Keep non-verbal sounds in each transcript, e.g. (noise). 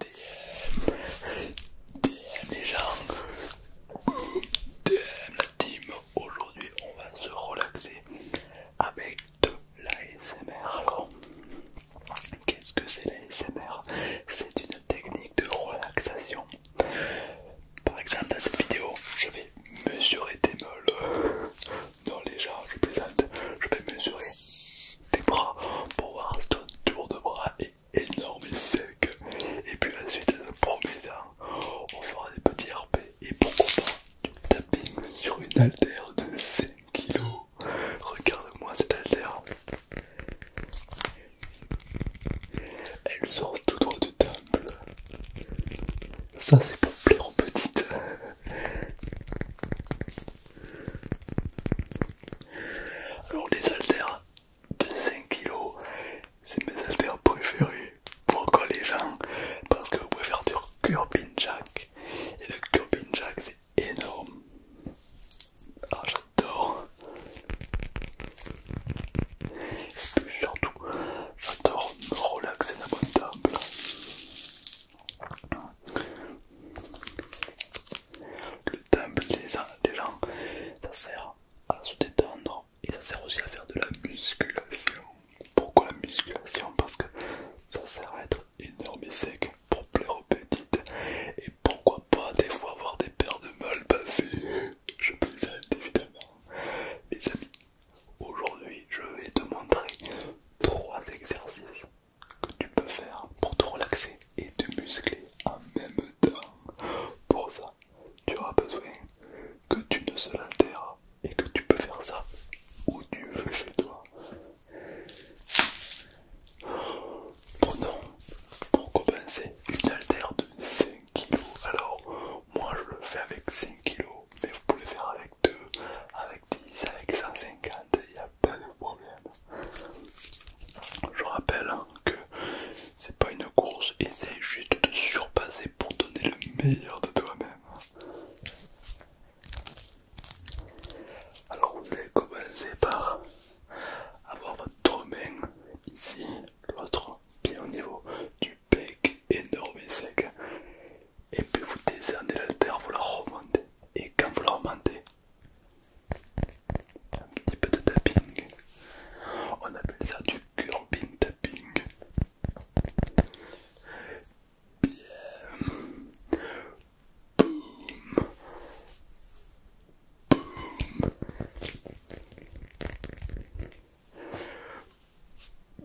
DM, les gens, DM la team. Aujourd'hui, on va se relaxer avec de l'ASMR. Alors, qu'est-ce que c'est l'ASMR C'est une technique de relaxation. Par exemple, dans cette vidéo, je vais mesurer des meules. Non, les gens, je plaisante, je vais mesurer des bras pour voir ton tour de bras est énorme et sec. Et puis la suite, promet hein. on fera des petits RP et pourquoi pas du tapping sur une altère de 5 kg. Regarde-moi cette altère. Elle sort tout droit de table. Ça c'est pour plaire aux petites. Alors les haltères de 5 kg, c'est mes haltères préférés. Pourquoi les gens Parce que vous pouvez faire du curbin jack. Et le curbin jack c'est énorme. Ah j'adore. Et puis surtout, j'adore me relaxer mon table. Le temple des gens, ça sert à se détendre et ça sert aussi à faire de la musculation. Pourquoi la musculation Parce que ça sert à être énorme et sec pour plaire aux petites. Et pourquoi pas des fois avoir des paires de mal passées Je plaisante évidemment. Les amis, aujourd'hui je vais te montrer trois exercices que tu peux faire pour te relaxer et te muscler en même temps. Pour ça, tu auras besoin que tu ne se l'altères et que tu peux faire ça où tu veux chez toi. Prenons pour compenser une altère de 5 kg. Alors, moi je le fais avec 5 kg, mais vous pouvez le faire avec 2, avec 10, avec 150, il n'y a pas de problème. Je rappelle que c'est pas une course, essaye juste de surpasser pour donner le meilleur de toi-même. Alors vous allez commencer par avoir votre main ici, l'autre bien au niveau du bec énorme et sec. Et puis vous décernez la terre, vous la remontez. Et quand vous la remontez, un petit peu de tapping. On appelle ça du curbing tapping. Bien. Boum. Boum.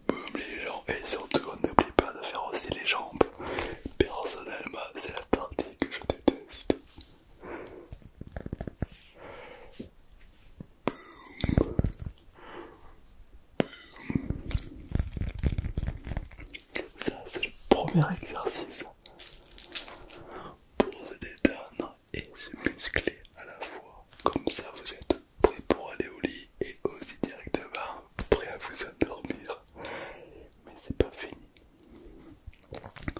Boum les gens et surtout on n'oublie pas de faire aussi les jambes. Personnellement c'est la partie que je déteste. Ça, c'est le premier exercice pour se détendre et se muscler à la fois. Comme ça, vous êtes prêt pour aller au lit et aussi directement prêt à vous endormir. Mais c'est pas fini.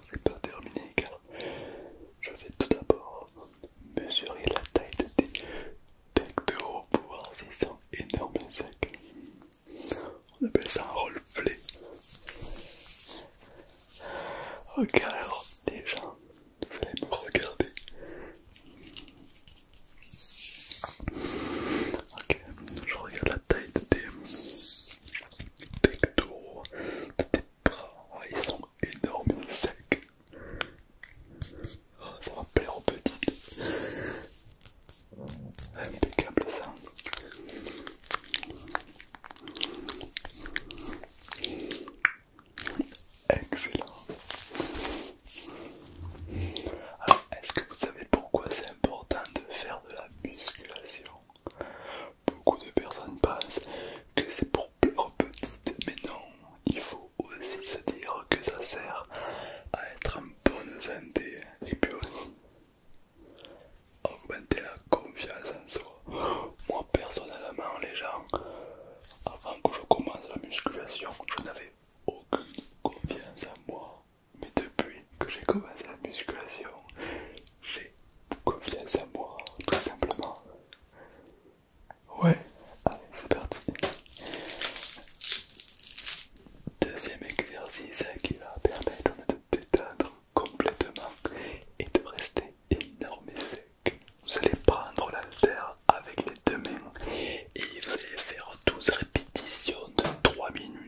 C'est pas terminé car je vais tout d'abord mesurer la taille de tes de pour voir s'ils sont énormes et secs. On appelle ça un roleplay. Ok alors déjà, vous allez regarder. Ok, je regarde la taille de tes pectoraux, de tes bras, ils sont énormes, et secs. Oh, ça va plaire aux petites. Ah, Impeccable ça. Excellent. Alors, est-ce que vous savez pourquoi c'est important de faire de la musculation. Beaucoup de personnes pensent que c'est pour pleurer aux mais non, il faut aussi se dire que ça sert à être en bonne santé et puis aussi augmenter la confiance en soi. Moi personnellement, les gens, avant que je commence la musculation, je n'avais aucune confiance en moi. Mais depuis que j'ai commencé la musculation, j'ai confiance en moi, tout simplement. Ouais, allez, c'est parti. Deuxième exercice qui va permettre de détendre complètement et de rester énorme et sec. Vous allez prendre terre avec les deux mains et vous allez faire 12 répétitions de 3 minutes.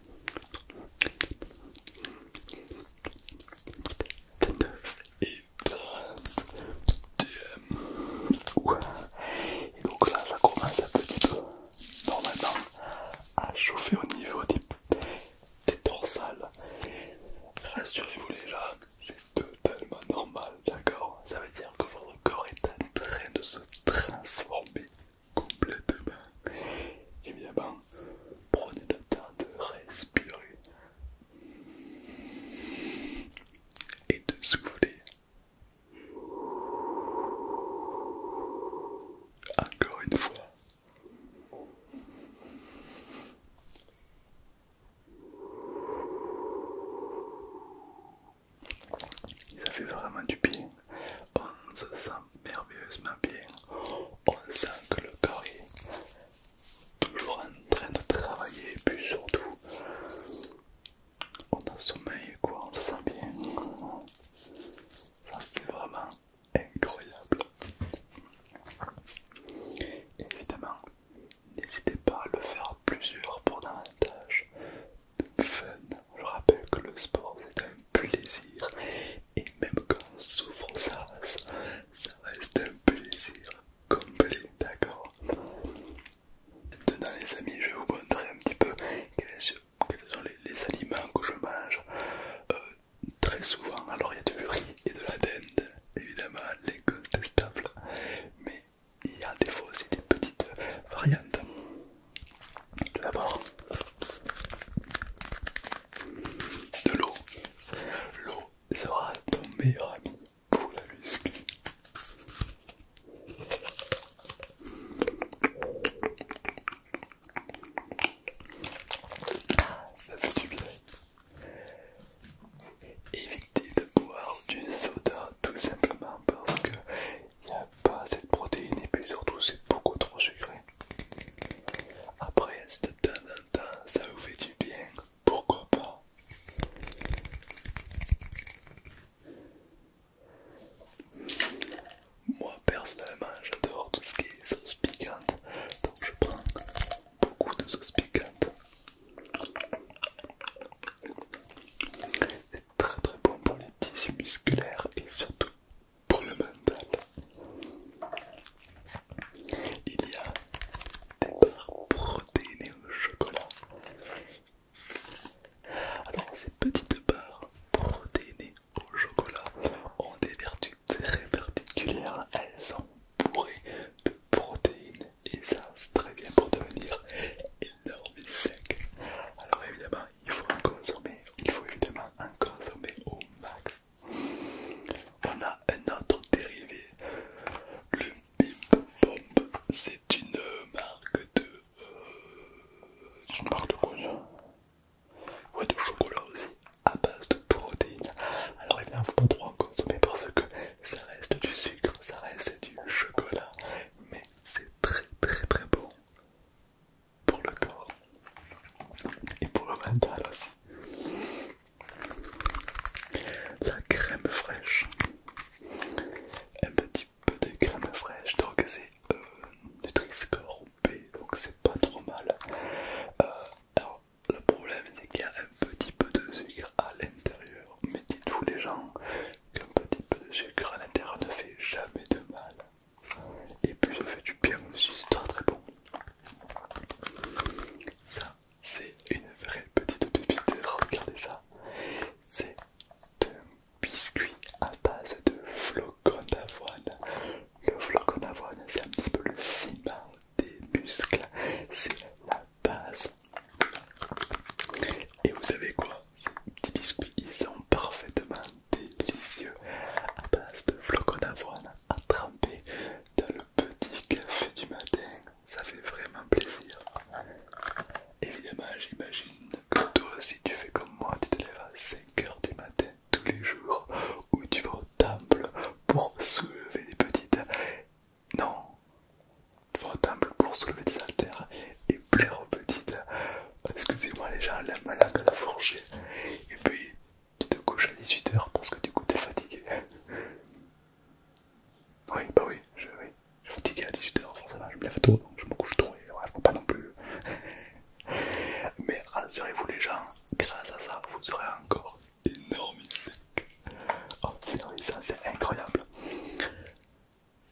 et donc là ça commence un petit peu normalement à chauffer au niveau des dorsales rassurez-vous les gens c'est totalement normal d'accord ça veut dire que votre corps est en train de se transformer complètement, Et bon, prenez le temps de respirer et de souffler. Encore une fois. Ça fait vraiment du bien. On se sent merveilleusement bien. On sent que le corps est toujours en train de travailler, et puis surtout, on a sommeil quoi, on se sent bien. Ça c'est vraiment incroyable. Évidemment, n'hésitez pas à le faire plusieurs pour davantage de fun. Je rappelle que le sport c'est un plaisir et même quand on souffre ça, ça, reste un plaisir complet, d'accord Maintenant les amis, je vais vous montrer un petit peu quels sont les, aliments que je mange euh, très souvent. Alors il y a du riz et de la dinde, évidemment, l'incontestable, mais il y a des fois aussi des petites variantes. Tout d'abord, de l'eau. L'eau sera ton meilleur ami pour la muscu. Ça fait du bien. Évitez de boire du soda tout simplement parce que il n'y a pas cette protéine et puis surtout c'est beaucoup trop sucré. Après, de temps en temps, ça vous fait du bien, pourquoi pas Moi personnellement, j'adore tout ce qui est sauce piquante, donc je prends beaucoup de sauce piquante. C'est très très bon pour les tissus musculaires et surtout pour le mental. Il y a des barres protéinées au chocolat. Alors ces petites barres protéinées au chocolat ont des vertus très particulières. Elles sont bourrées de protéines et ça c'est très bien pour devenir énorme et sec. Alors évidemment il faut en consommer, il faut évidemment en consommer au max. On a un autre dérivé, le Bip Bomb. C'est une marque de. C'est une marque de quoi Ouais, de chocolat aussi, à base de protéines. Alors, eh il ne faut pas trop en consommer parce que ça reste du sucre, ça reste du chocolat, mais c'est très très très bon pour le corps et pour le mental aussi. La crème fraîche, un petit peu de crème fraîche, donc c'est du euh, nutri donc c'est pas trop mal. Euh, alors, le problème c'est qu'il y a un petit peu de sucre à l'intérieur, mais dites-vous les gens qu'un petit peu de sucre à l'intérieur ne fait jamais de mal. Et puis ça fait du bien monsieur, c'est très très bon. Ça, c'est une vraie petite pépite. Regardez ça. C'est un biscuit à base de flocon d'avoine. Le flocon d'avoine, c'est un petit peu le ciment des muscles. C'est la base. Et vous savez quoi Ces petits biscuits, ils sont parfaitement délicieux à base de flocons d'avoine à tremper dans le petit café du matin. Ça fait vraiment plaisir. Évidemment, j'imagine que toi aussi tu fais comme moi, tu te lèves à 5 heures du matin tous les jours ou tu vas au temple pour soulever des petites... Non, tu vas au temple pour soulever des haltères et plaire aux petites. Excusez-moi les gens, la langue à la forger. Et puis tu te couches à 18h parce que du coup t'es fatigué. (laughs) oui, bah oui, je, suis fatigué à 18h, forcément, je me lève tôt, donc je me couche tôt et ouais, je pas non plus. (laughs) Mais rassurez-vous les gens, grâce à ça, vous aurez encore énorme sec. Oh, ça c'est incroyable.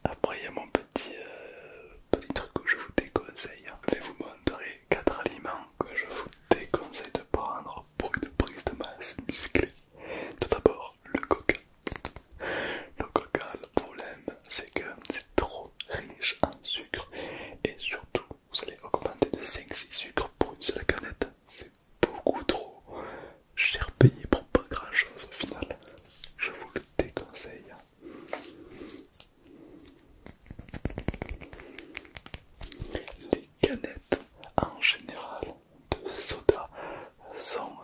Après, il y a mon petit, euh, petit truc que je vous déconseille. Hein. Je vais vous montrer 4 aliments que je vous déconseille de prendre pour une prise de masse musclée. Tout d'abord, le coca. Le coca, le problème, c'est que c'est trop riche en sucre et surtout, vous allez augmenter de 5-6 sucres pour une seule canette. C'est beaucoup trop cher payé pour pas grand chose au final. Je vous le déconseille. Les canettes en général de soda sont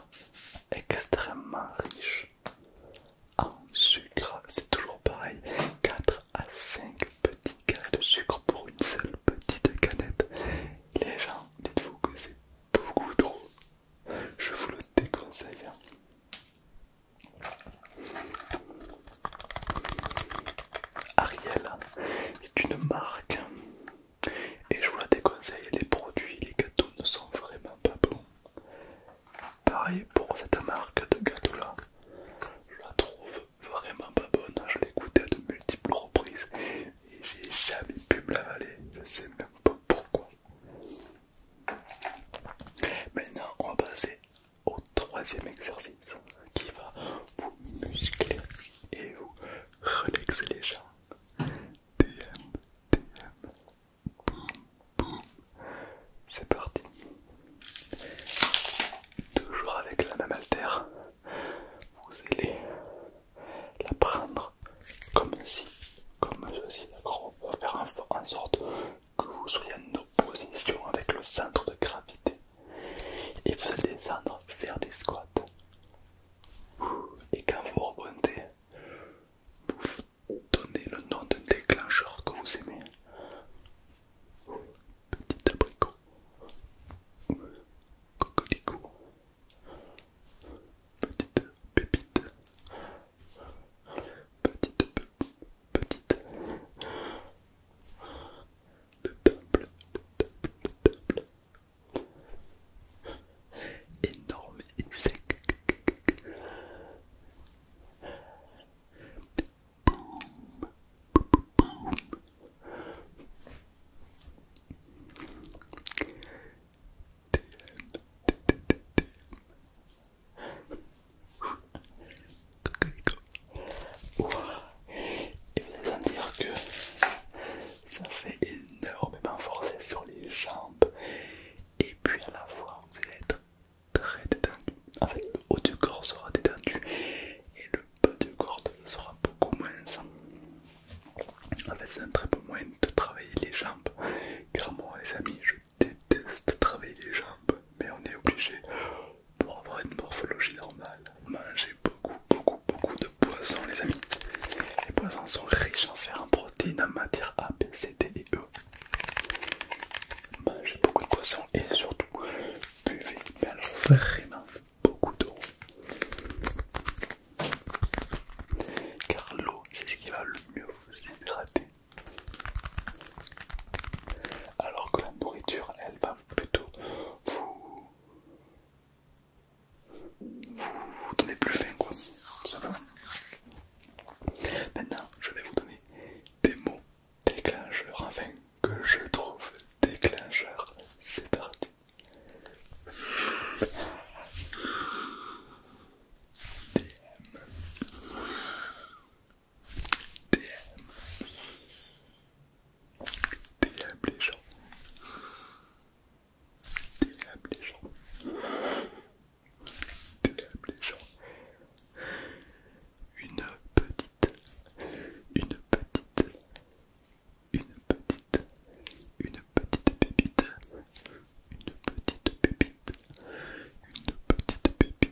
extrêmement riches en sucre. C'est toujours pareil, 4 à 5 petits carrés de sucre pour une seule petite canette. Les gens, dites-vous que c'est beaucoup trop. Je vous le déconseille. Hein. Ariel est une marque et je vous la déconseille, les produits, les gâteaux ne sont vraiment pas bons. Pareil pour cette marque de gâteau là, je la trouve vraiment pas bonne, je l'ai goûté à de multiples reprises et j'ai jamais pu me l'avaler, je sais même pas pourquoi. Maintenant on va passer au troisième exercice qui va vous muscler et vous relaxer les jambes. DM, DM, boum, boum. C'est parti. Toujours avec la même vous allez la prendre comme si, comme ceci, d'accord On va faire en sorte que vous soyez en opposition avec le centre de gravité et vous allez descendre faire des squats. Et quand vous rebondez, vous donnez le nom d'un déclencheur que vous aimez. Petit abricot, coquelicot, petite pépite, petite pépite petite. Le temple, le temple, le temple. Énorme insecte. TM, TM, TM, et vous allez sentir que ça fait énormément forcer sur les jambes et puis à la fois vous allez être très détendu. En fait le haut du corps sera détendu et le bas du corps sera beaucoup moins. En fait c'est un très bon moyen de travailler les jambes car moi les amis je déteste travailler les jambes, mais on est obligé pour avoir une morphologie normale. Manger beaucoup, beaucoup, beaucoup de poissons, les amis. Les poissons sont riches en fer, en protéines, en matière A, B, C, D et E. Mangez beaucoup de poissons et surtout buvez, vraiment beaucoup d'eau. Car l'eau, c'est ce qui va le mieux vous hydrater. Alors que la nourriture, elle va plutôt vous, vous donner plus faim, quoi. Maintenant, je vais vous donner des mots déclencheurs, enfin, que je trouve déclencheurs. C'est parti les gens. les gens. gens. Une petite, une petite, une petite, une petite pépite, une petite pépite, une petite pépite,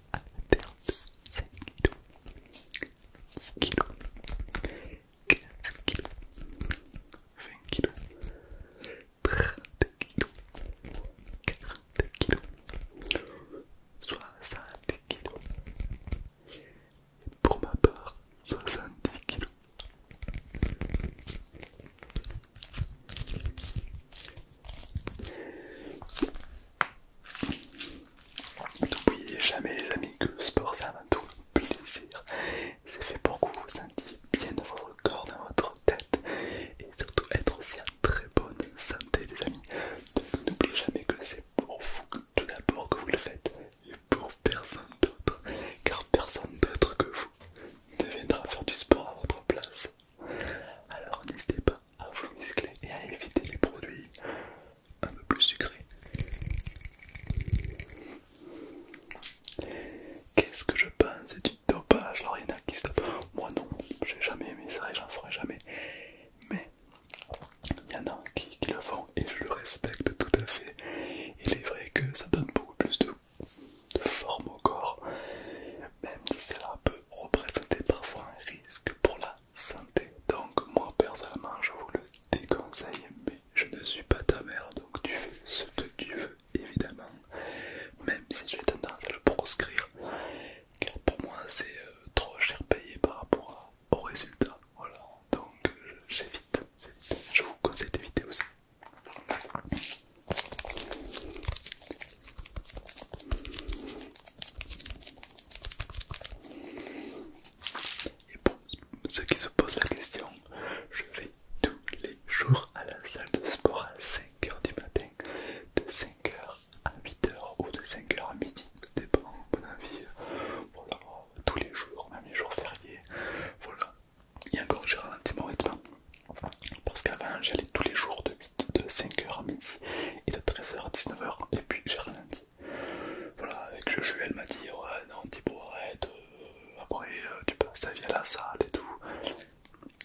à l'intérieur 5 kg, 10 kg, 15 kg, 20 kg, 30 kg, 40 kg, 60 kg. Pour ma part, 70 kg. N'oubliez jamais les amis que le sport c'est avant tout plaisir. C'est fait pour que vous vous sentiez bien dans votre corps, dans votre tête et surtout être aussi en très bonne santé les amis. Donc n'oubliez jamais que c'est pour vous tout d'abord que vous le faites et pour personne d'autre car personne d'autre que vous ne viendra faire du sport à votre place. Alors n'hésitez pas à vous muscler et à éviter les produits un peu plus sucrés. Qu'est-ce que je pense du dopage Alors il y en a qui se Moi non, j'ai jamais aimé ça et j'en ferai jamais. Mais il y en a qui, le font et je le respecte tout à fait. Il est vrai que ça donne beaucoup plus de forme au corps, même si c'est un peu représenter parfois un risque pour la santé. Donc moi personnellement je vous le déconseille, mais je ne suis pas ta mère, donc tu fais ce que tu veux évidemment, même si j'ai tendance à le proscrire, car pour moi c'est euh, trop cher payé par rapport au résultat. Voilà, donc euh, j'évite, je vous conseille d'éviter aussi. Et pour ceux qui se posent la question, je vais tous les jours à la salle de sport à 5h du matin, de 5h à 8h ou de 5h à midi, dépend de mon avis. Voilà, tous les jours, même les jours fériés. Voilà, et encore je ralentis mon rythme parce qu'avant j'allais tous les jours de de 5h à midi et de 13h à 19h. Et puis j'ai ralenti Voilà, avec le elle m'a dit Ouais, non, Thibaut, arrête. Euh, après, euh, tu passes ta vie à la salle et tout.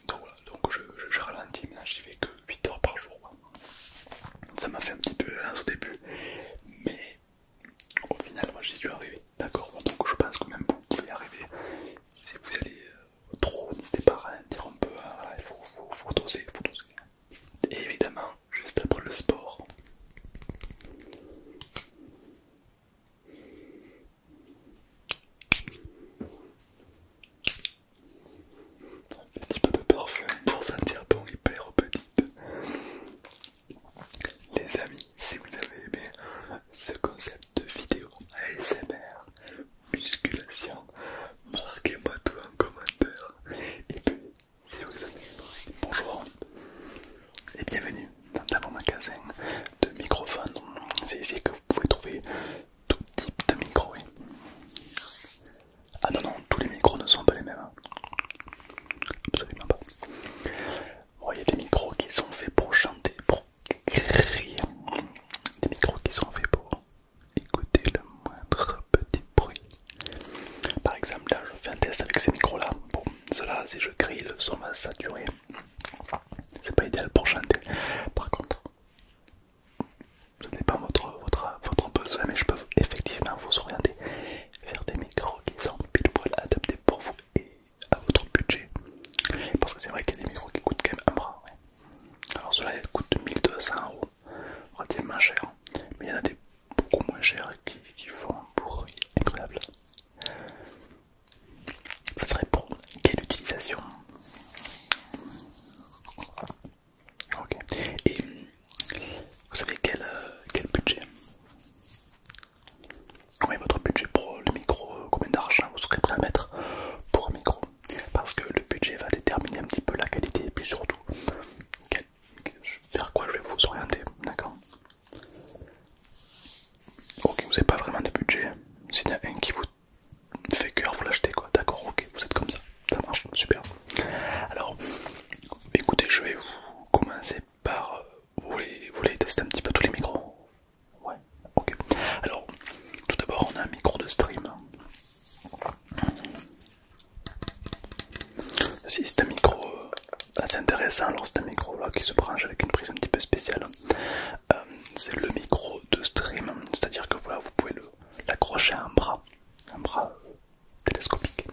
Donc voilà, donc je, je, ralentis. Maintenant, j'y vais que 8 h par jour. Ça m'a fait un petit peu lance hein, au début, mais au final, moi j'y suis arrivé. D'accord, donc je pense que même vous qui y arriver si vous allez euh, trop n'hésitez pas à dire un peu, hein, il faut, faut, faut doser, faut doser. Et évidemment, juste après le sport. Un petit peu de parfum pour sentir bon et plaire aux Les amis, si vous avez aimé ce concept de vidéo ASMR, musculation. Marquez-moi tout en commentaire. Et puis, si vous bonjour et bienvenue dans mon magasin de microphones. C'est ici que vous pouvez trouver tout type de micro. Ah non, non, tous les micros ne sont pas les mêmes. Hein. Absolument pas. il y a des micros qui sont faits pour chanter, pour crier. Des micros qui sont faits pour Écoutez le moindre petit bruit. Par exemple, là, je fais un test avec ces micros-là. Bon, cela, si je grille, le son va saturer. C'est pas idéal pour chanter. Par contre, ce n'est pas votre, votre, votre besoin, mais je peux effectivement vous orienter vers des micros qui sont pile poil adaptés pour vous et à votre budget. Parce que c'est vrai qu'il y a des micros qui coûtent quand même un bras. Alors cela coûte 1200 euros, relativement cher, mais il y en a des beaucoup moins chers qui, font un bruit incroyable. Ce serait pour quelle utilisation Ok. Et vous savez quel, euh, budget Combien votre budget pour le micro Combien d'argent vous serez prêt à mettre pour un micro parce que le budget va déterminer un petit peu la qualité et puis surtout vers quoi je vais vous orienter, d'accord Ok, vous n'avez pas vraiment de budget, s'il y en a un qui vous fait cœur, vous l'achetez quoi, d'accord, ok, vous êtes comme ça, ça marche, super. Alors, écoutez, je vais vous commencer par... vous voulez tester un petit peu tous les micros Ouais, ok. Alors, tout d'abord, on a un micro de stream c'est un micro euh, assez intéressant, c'est un micro qui se branche avec une prise un petit peu spéciale. Euh, c'est le micro de stream, c'est-à-dire que voilà, vous pouvez l'accrocher à un bras, un bras euh, télescopique,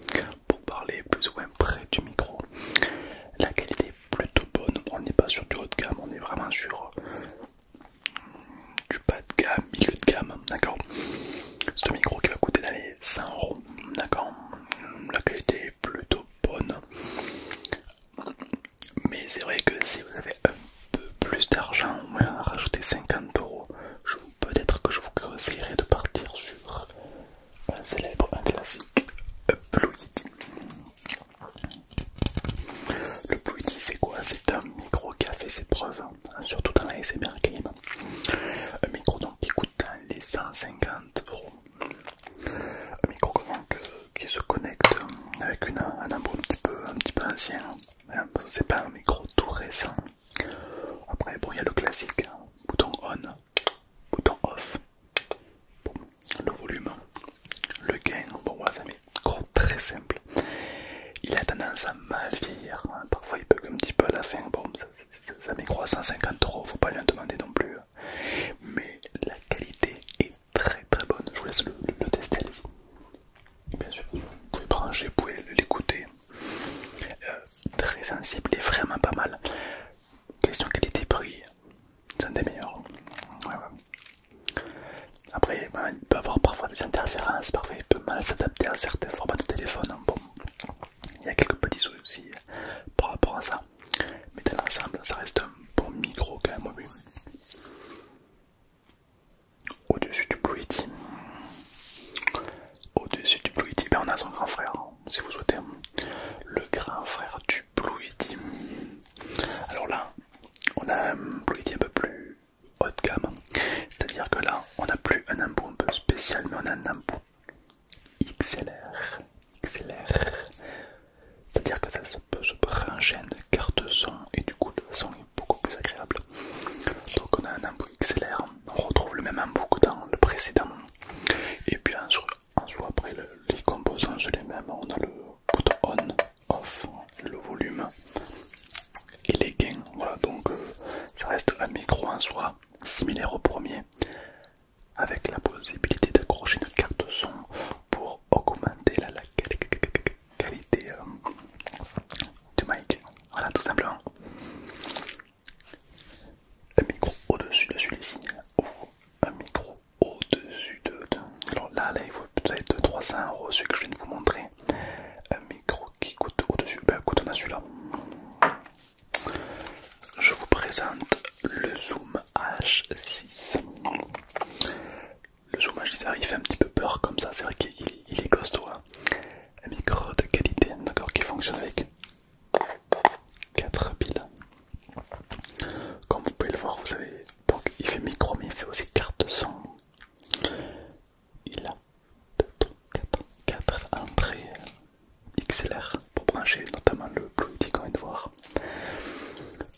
pour parler plus ou moins près du micro. La qualité est plutôt bonne, on n'est pas sur du haut de gamme, on est vraiment sur du bas de gamme, milieu de gamme, d'accord C'est un micro qui va coûter dans les 100 euros, d'accord La qualité est plutôt bonne, mais c'est vrai que si vous avez un peu plus d'argent, ou moins rajouter 50 euros, peut-être que je vous conseillerais de partir sur un célèbre, un classique, Blue Yeti. Le plus c'est quoi C'est un micro qui a fait ses preuves, hein, surtout dans la SMR Game. Un micro qui coûte les 150 euros. Un micro qui se connecte euh, avec un embout un petit peu, un petit ancien. Hein, c'est pas un micro tout récent. Après, bon, il y a le classique hein, bouton on, bouton off. le volume, le gain, bon, très simple. Il a tendance à mal vieillir, hein. parfois il bug un petit peu à la fin. Bon, ça, ça, euros, faut pas lui en demander non plus. Hein. Mais la qualité est très très bonne. Je vous laisse le, tester. Bien sûr, vous pouvez brancher, vous pouvez l'écouter. Euh, très sensible et vraiment pas mal. Question qualité-prix, c'est un des meilleurs. Après, ben, il peut avoir parfois des interférences, parfois il peut mal s'adapter à certains formats de téléphone. Bon, il y a quelques petits soucis euh, par rapport à ça. Mais dans l'ensemble, ça reste un bon micro quand même. Au-dessus du Blue Au-dessus du Blue Yeti, ben, on a son grand frère, si vous souhaitez. Le grand frère du Blue Alors là, on a un Blue un peu plus gamme. C'est-à-dire que là, on n'a plus un embout un peu spécial, mais on a un embout XLR. XLR. C'est-à-dire que ça se peut se brancher carte son et du coup le son est beaucoup plus agréable. Donc on a un embout XLR, on retrouve le même embout que dans le précédent. Et puis en soi, après les composants sont les mêmes, on a le bouton on off le volume et les gains. Voilà, donc il euh, ça reste un micro en soi similaire au premier avec la possibilité d'accrocher une carte son pour augmenter la, qualité euh, du mic. Voilà, tout simplement. Un micro au-dessus de celui-ci ou un micro au-dessus de, Alors là, là, il faut peut-être 300 euros, celui que je viens de vous montrer un micro qui coûte au-dessus. Ben coûte on a celui-là. Je vous présente le Zoom H6. Le Zoom H6, il fait un petit peu peur comme ça, c'est vrai qu'il est costaud. Hein. Un micro de qualité, d'accord, qui fonctionne avec 4 piles. Comme vous pouvez le voir, vous savez, donc il fait micro, mais il fait aussi carte son, il a 4 entrées XLR pour brancher notamment le Blue et qu'on vient de voir.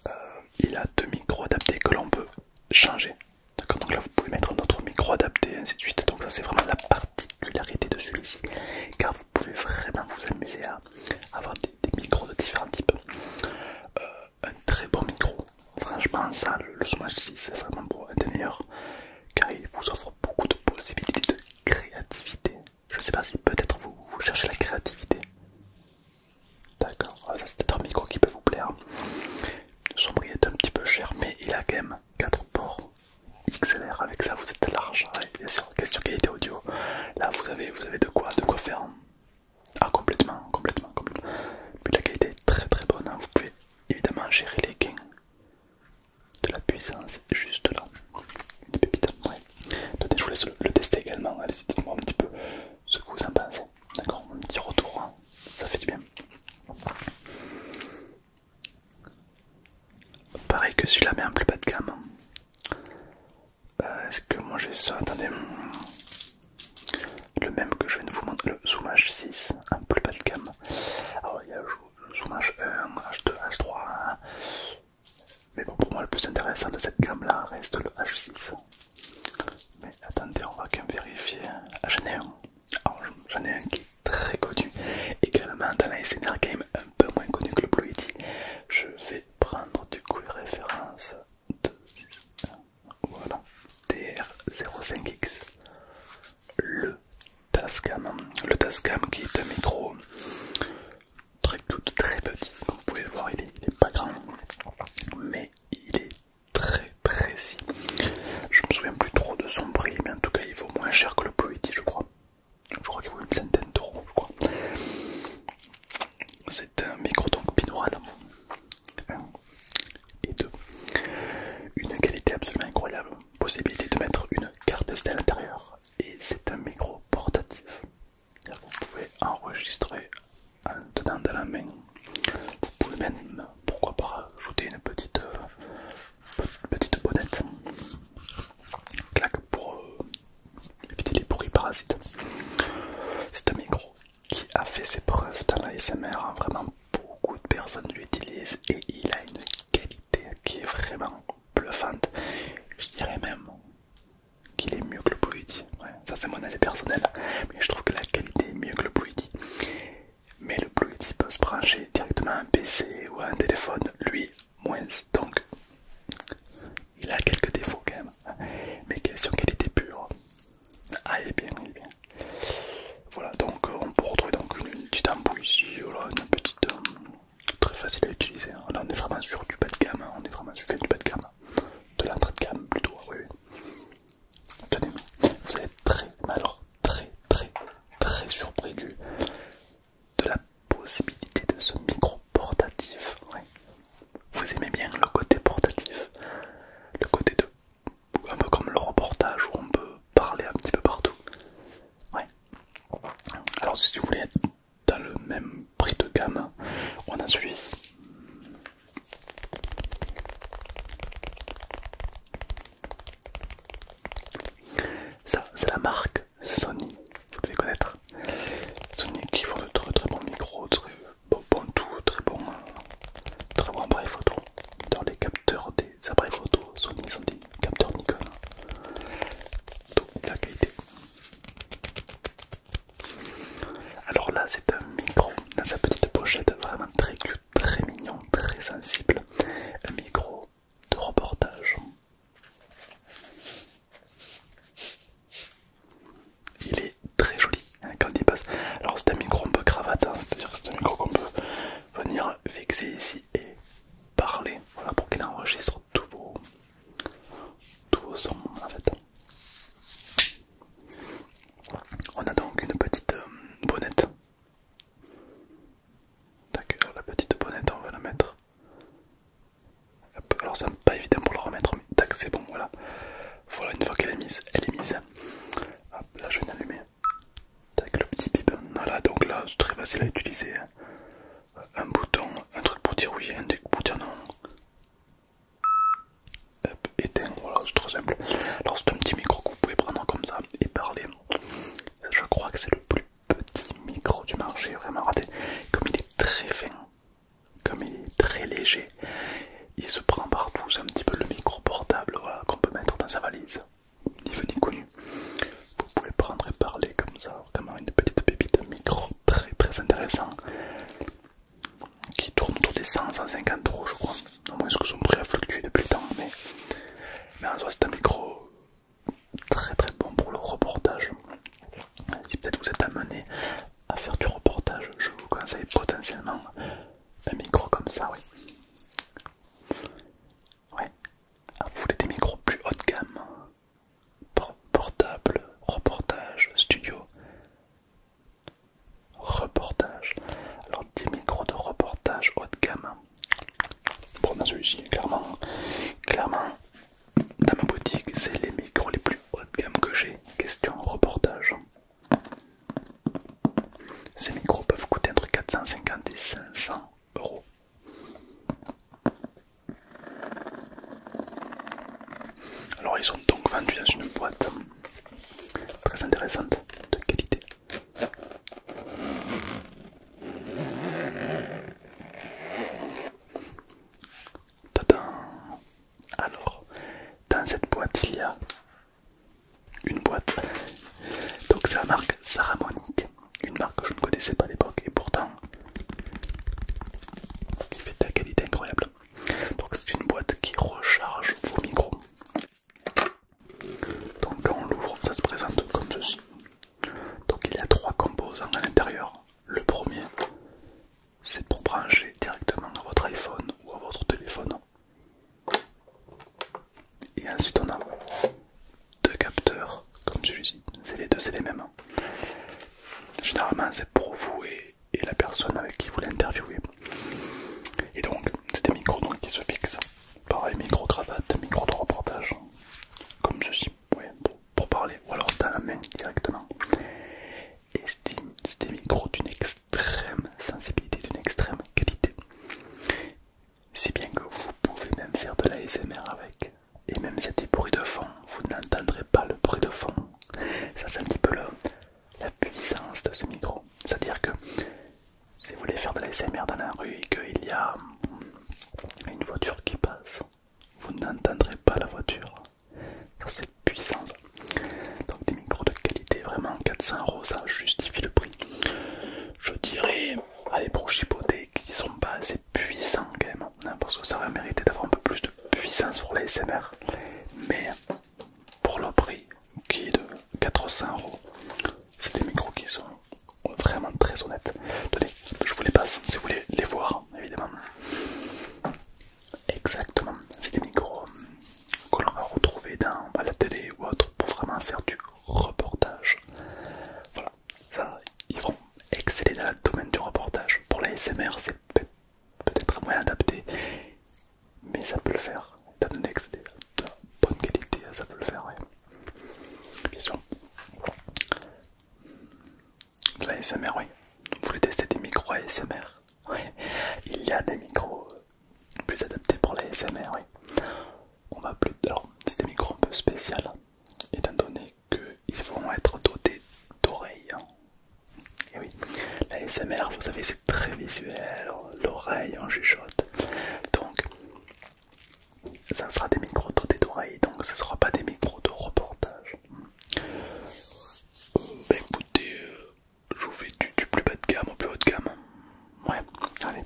Euh, il a deux micros adaptés que l'on peut changer. Donc là vous pouvez mettre notre micro adapté, ainsi de suite. Donc ça c'est vraiment la particularité de celui-ci. Car vous pouvez vraiment vous amuser à avoir des, micros de différents types. Euh, un très bon micro. Franchement, ça, le, le 6, c'est vraiment beau, un des meilleurs car il vous offre beaucoup de possibilités de créativité. Je sais pas si peut-être vous, cherchez la créativité. D'accord, ah, ça c'est peut-être un micro qui peut vous plaire. Son prix est un petit peu cher, mais il a quand même 4 ports XLR. Avec ça, vous êtes large. et bien sûr, question qualité audio. Là, vous avez, vous avez de quoi, de quoi faire. Ah complètement, complètement, complètement. Puis la qualité est très très bonne. Hein. Vous pouvez évidemment gérer les gains de la puissance juste là. Une pépite, ouais. je vous laisse le, tester également. allez dites-moi un petit peu ce que vous en pensez. D'accord Un petit retour, hein. ça fait du bien. Pareil que celui-là, mais en plus bas de gamme. Hein. Euh, est-ce que moi j'ai ça Attendez le même que je viens de vous montrer, le Zoom H6 un plus bas de gamme. Alors il y a le Zoom H1, H2, H3, mais bon, pour moi le plus intéressant de cette gamme là reste le H6. Mais attendez, on va quand même vérifier. Ah, j'en ai un, j'en ai un qui est très connu également dans la SNR Game, un peu moins connu que le Blue Je vais prendre du coup les références 2, 6, 1, voilà, DR05X, le Tascam, le Tascam qui est un micro très tout très petit, comme vous pouvez le voir, il est, pas grand, mais il est très précis. Je me souviens plus trop de son prix, mais en tout cas il vaut moins cher que le Ploiti, je crois. Je crois qu'il vaut une centaine d'euros, je crois. C'est un micro donc binaural, et deux. Une qualité absolument incroyable, possibilité de mettre une carte SD à l'intérieur et c'est un micro portatif. Vous pouvez enregistrer en tenant dans la main. Vous pouvez même, pourquoi pas, ajouter une petite, euh, petite bonnette. Claque pour euh, éviter les bruits parasites. C'est un micro qui a fait ses preuves dans l'ASMR. S.M.R. Vraiment, beaucoup de personnes l'utilisent et il a une qualité qui est vraiment bluffante. Je dirais même qu'il est mieux que le Yeti. Ouais, ça, c'est mon avis personnel, mais je trouve que la qualité est mieux que le Yeti. Mais le Yeti peut se brancher directement à un PC ou à un téléphone, lui, moins. Donc, il a quelques défauts quand même. Mais question qualité pure, ah, il est bien, bien. Voilà, donc euh, on peut retrouver donc une, petite ampoule ici, une petite euh, très facile à utiliser. Là, on est vraiment sur du bas de gamme, hein, on est vraiment sur du bas de gamme, de l'entrée de gamme plutôt. Oui, oui. Tenez, vous êtes très, très, très, très surpris de la possibilité de ce micro portatif vous aimez bien le côté portatif, le côté de un peu comme le reportage où on peut parler un petit peu partout. Ouais. Alors si vous voulez être dans le même prix de gamme, on a celui-ci. Ça, c'est la marque Sony, vous devez connaître. Sony qui font de très très bons micros, très, Bon, tout, très bon, euh, très bon appareil photo. Dans les capteurs des appareils photo, Sony sont des capteurs Nikon. tout la qualité. Alors là, c'est un micro dans sa petite pochette, vraiment très cute, très mignon, très sensible. Un micro de reportage. Il est très joli quand il passe. Alors c'est un micro un peu cravate, hein, c'est-à-dire c'est un micro qu'on peut venir vexer ici et parler. Voilà pour qu'il enregistre tous vos, sons en fait. On a donc une petite euh, bonnette. D'accord, euh, la petite bonnette, on va la mettre. alors, c'est pas évident pour la remettre, mais tac, c'est bon, voilà. Voilà, une fois qu'elle est mise, elle est mise. là je viens d'allumer. Avec le petit bip. Voilà, donc là c'est très facile à utiliser. Hein. Un bouton, un truc pour dire oui, un truc pour dire non. et éteint, voilà, c'est très simple. Alors c'est un petit micro que vous pouvez prendre comme ça et parler. Je crois que c'est le plus petit micro du marché, vraiment raté. Comme il est très fin, comme il est très léger, il se prend partout. C'est un petit peu le micro portable qu'on peut mettre dans sa valise. Ni vu connu. Vous pouvez prendre et parler comme ça. Comme une petite pépite, de micro très très intéressant qui tourne autour des 100, 150 euros, je crois. Au moins, ce que son prix a fluctué depuis le temps. Mais, mais en soit, c'est un micro très très bon pour le reportage. Si peut-être vous êtes amené à faire du reportage, je vous conseille potentiellement un micro comme ça, oui. Ouais. Ah, vous voulez des micros plus haut de gamme Portable, reportage, studio, reportage. Alors 10 micros de reportage haut de gamme. pour dans celui-ci, clairement, clairement, dans ma boutique, c'est les micros les plus haut de gamme que j'ai. Question reportage. Ces micros peuvent coûter entre 450 et 500 euros. Alors ils sont donc vendus dans une boîte très intéressante de qualité. Tadam alors, dans cette boîte, il y a une boîte. Donc, c'est la marque Saramonic, une marque que je ne connaissais pas à l'époque et pourtant qui fait de la qualité incroyable. Donc, c'est une boîte qui recharge vos micros. Donc, quand on l'ouvre, ça se présente comme ceci. Donc, il y a trois composants hein, à l'intérieur. Le premier, c'est pour brancher directement à votre iPhone ou à votre téléphone. Et ensuite on a deux capteurs comme celui-ci, c'est les deux, c'est les mêmes. Généralement c'est pour vous et, la personne avec qui vous l'interviewez. Et donc c'est des micros qui se fixent. Pareil, micro-cravate, micro de reportage, comme ceci, pour, parler, ou alors dans la main directement. Et c'est des, micros d'une extrême sensibilité, d'une extrême qualité. Si bien que vous pouvez même faire de la l'ASMR avec. Et même si y de fond, vous n'entendrez pas le bruit de fond. Ça c'est un petit peu la puissance de ce micro. C'est-à-dire que si vous voulez faire de l'ASMR dans la rue et qu'il y a une voiture qui passe, vous n'entendrez pas la voiture. Ça c'est puissant. Donc des micros de qualité, vraiment 400 euros, ça justifie le prix. Je dirais, allez pour qu'ils qui sont pas assez puissants quand même, hein, parce que ça va mériter d'avoir un peu plus de puissance pour les SMR. Mais pour le prix qui est de 400 euros, c'est des micros qui sont vraiment très honnêtes. Tenez, je vous les passe si vous voulez les voir, évidemment. Exactement, c'est des micros que l'on va retrouver dans, à la télé ou autre pour vraiment faire du reportage. Voilà, ils vont exceller dans le domaine du reportage. Pour la SMR, c'est peut-être moins adapté, mais ça peut le faire. Étant donné que c'est de bonne qualité, ça peut le faire, Bien sûr. la SMR, oui. Vous voulez tester des micros ASMR il y a des micros euh, plus adaptés pour la SMR, oui. On va plus. Alors, c'est des micros un peu spécial, étant donné qu'ils vont être dotés d'oreilles. Hein. Et oui, la SMR, vous savez, c'est très visuel, l'oreille en chuchote. Donc, ça sera des micros dotés d'oreilles, donc ce ne sera pas des micros de reportage. Euh, bah, euh, je vous fais du, plus bas de gamme au plus haut de gamme. Ouais, allez.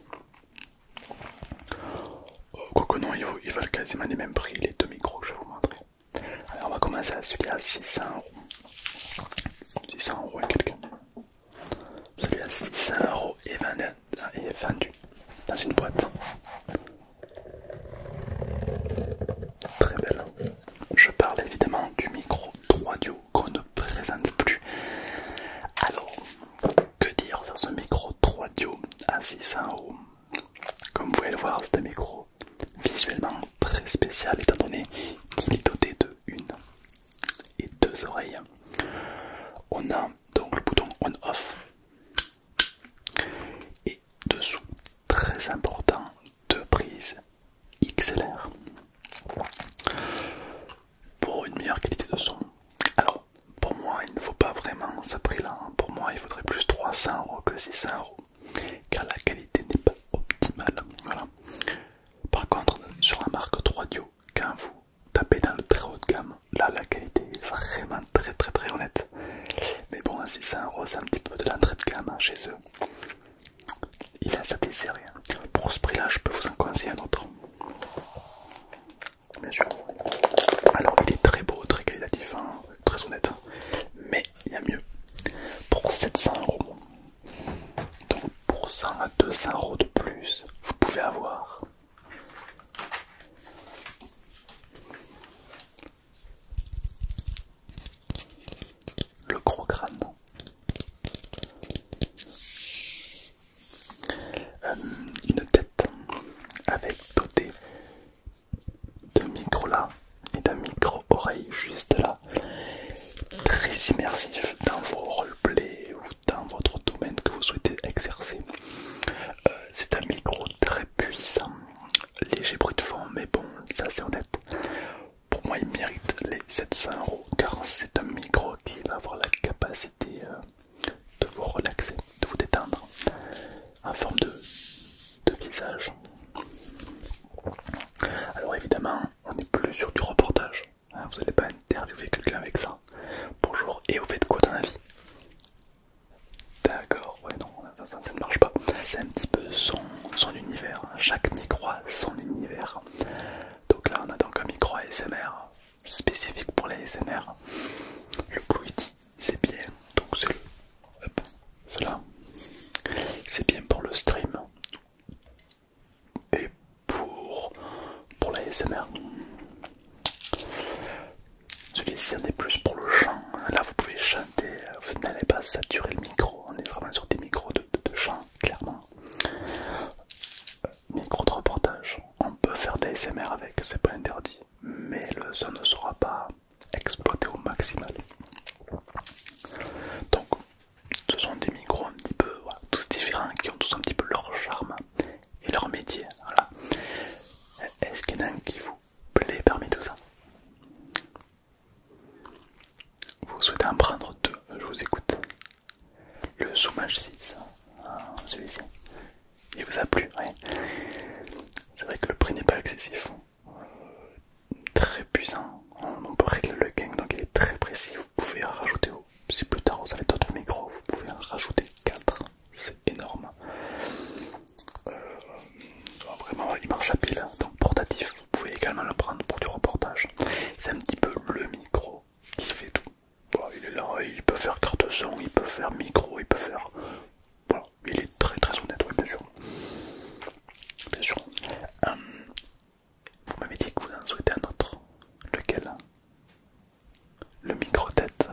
Euh, quoi que non, ils, valent quasiment les mêmes prix, les deux micros je vais vous montrer. Alors on va commencer à celui à 600 euros. 600 euros à quelqu'un. Celui à 600 euros est vendu dans une boîte très belle. Je parle évidemment du micro 3Dio qu'on ne présente plus. Alors, que dire sur ce micro 3Dio à 600 Comme vous pouvez le voir, c'est un micro visuellement très spécial étant donné qu'il est doté de une et deux oreilles. On a donc le bouton on-off et dessous, très important, deux prises XLR pour une meilleure qualité de son. Alors pour moi il ne vaut pas vraiment ce prix là, hein. pour moi il faudrait plus 300 euros que 600 euros car la qualité n'est pas optimale. Voilà. Par contre sur la marque 3Dio, quand vous tapez dans le très haut de gamme, là la qualité est vraiment très très très honnête. Mais bon 600 euros c'est un petit peu de l'entrée de gamme hein, chez eux. Il a sa hein. Pour ce prix-là, je peux vous en coincer un autre. Bien sûr. Alors, il est très beau, très qualitatif, hein. très honnête. Hein. Mais il y a mieux. Pour 700 euros. Donc, pour 100 à 200 euros de plus, vous pouvez avoir le gros crâne. Euh, une tête avec dotée de micro là et d'un micro oreille juste là, très immersif dans vos roleplays ou dans votre domaine que vous souhaitez exercer. Euh, c'est un micro très puissant, léger bruit de fond, mais bon, ça c'est honnête pour moi il mérite les 700 euros car c'est un micro qui va avoir la capacité euh, de vous relaxer, de vous détendre en forme de, de visage. Alors évidemment on n'est plus sur du reportage, hein, vous n'allez pas interviewer quelqu'un avec ça. Bonjour et vous faites quoi dans la vie D'accord, ouais non, ça, ne marche pas. C'est un petit peu son, son univers. Chaque micro a son univers. Donc là, on a donc un micro ASMR spécifique pour les smr Le Bluity, c'est bien. Donc c'est le. là. C'est bien pour le stream et pour, pour la SMR. Celui-ci en est plus pour le chant. Là, vous pouvez chanter vous n'allez pas saturer le micro, on est vraiment sur des micros de, champ, chant, clairement. Euh, micro de reportage, on peut faire des ASMR avec, c'est pas interdit, mais le son ne sera pas exploité au maximum. Donc, ce sont des micros un petit peu tous différents qui ont tous un petit peu leur charme et leur métier. Voilà. Est-ce qu'il y en a un qui vous plaît parmi tout ça vous souhaitez en prendre deux, je vous écoute. Le zoomage 6, hein, celui-ci. Il vous a plu, C'est vrai que le prix n'est pas excessif. Euh, très puissant. On, peut régler le gain, donc il est très précis. Vous pouvez en rajouter, si plus tard vous avez d'autres micros, vous pouvez en rajouter 4. C'est énorme. Euh, vraiment, il marche à pile, donc portatif. Vous pouvez également le prendre pour du reportage. C'est un petit peu le micro qui fait tout. il est là, il peut faire carte son, il peut faire micro, il peut faire. Voilà, il est très très honnête, oui, bien sûr. Bien sûr. Euh, vous m'avez dit que vous en souhaitez un autre. Lequel Le micro-tête.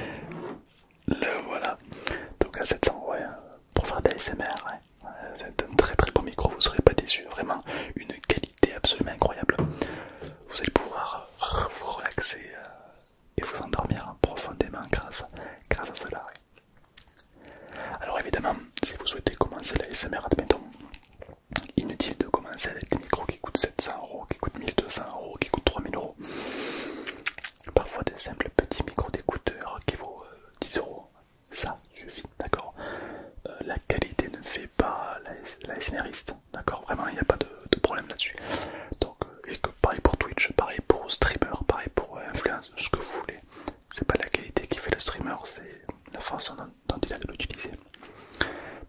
(laughs) Le voilà. Donc à 700, ouais, pour faire de l'ASMR. C'est un très très bon micro, vous ne serez pas déçu. Vraiment une qualité absolument incroyable. Vous allez pouvoir vous relaxer euh, et vous endormir profondément grâce, grâce à cela. Alors évidemment, si vous souhaitez commencer l'ASMR, admettons, inutile de commencer avec des micros qui coûtent 700 euros, qui coûtent 1200 euros, qui coûtent 3000 euros. Parfois des simples petits micros d'écouteurs qui vaut 10 euh, euros, ça suffit, d'accord euh, La qualité ne fait pas la, d'accord Vraiment, il n'y a pas de, problème là-dessus. Donc, euh, pareil pour Twitch, pareil pour streamer, pareil pour euh, influence, ce que vous voulez. C'est pas la qualité qui fait le streamer, c'est la façon dont, il a de l'utiliser.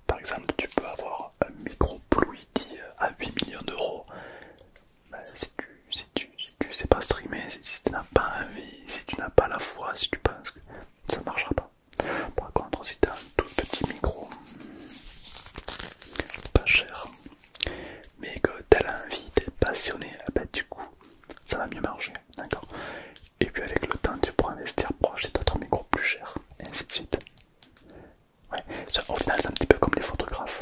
Par exemple, tu peux avoir un micro à 8 millions d'euros bah, si tu si sais pas streamer, si, tu n'as pas envie, si tu n'as pas la foi, si tu penses que ça marchera pas. Par contre, si tu as un tout petit micro, pas cher, mais que tu as envie, tu es passionné, ah bah, du coup, ça va mieux marcher. D'accord Et puis avec le temps, tu pourras investir pour acheter d'autres micros plus chers, et ainsi de suite. Ouais, au final, c'est un petit peu comme les photographes.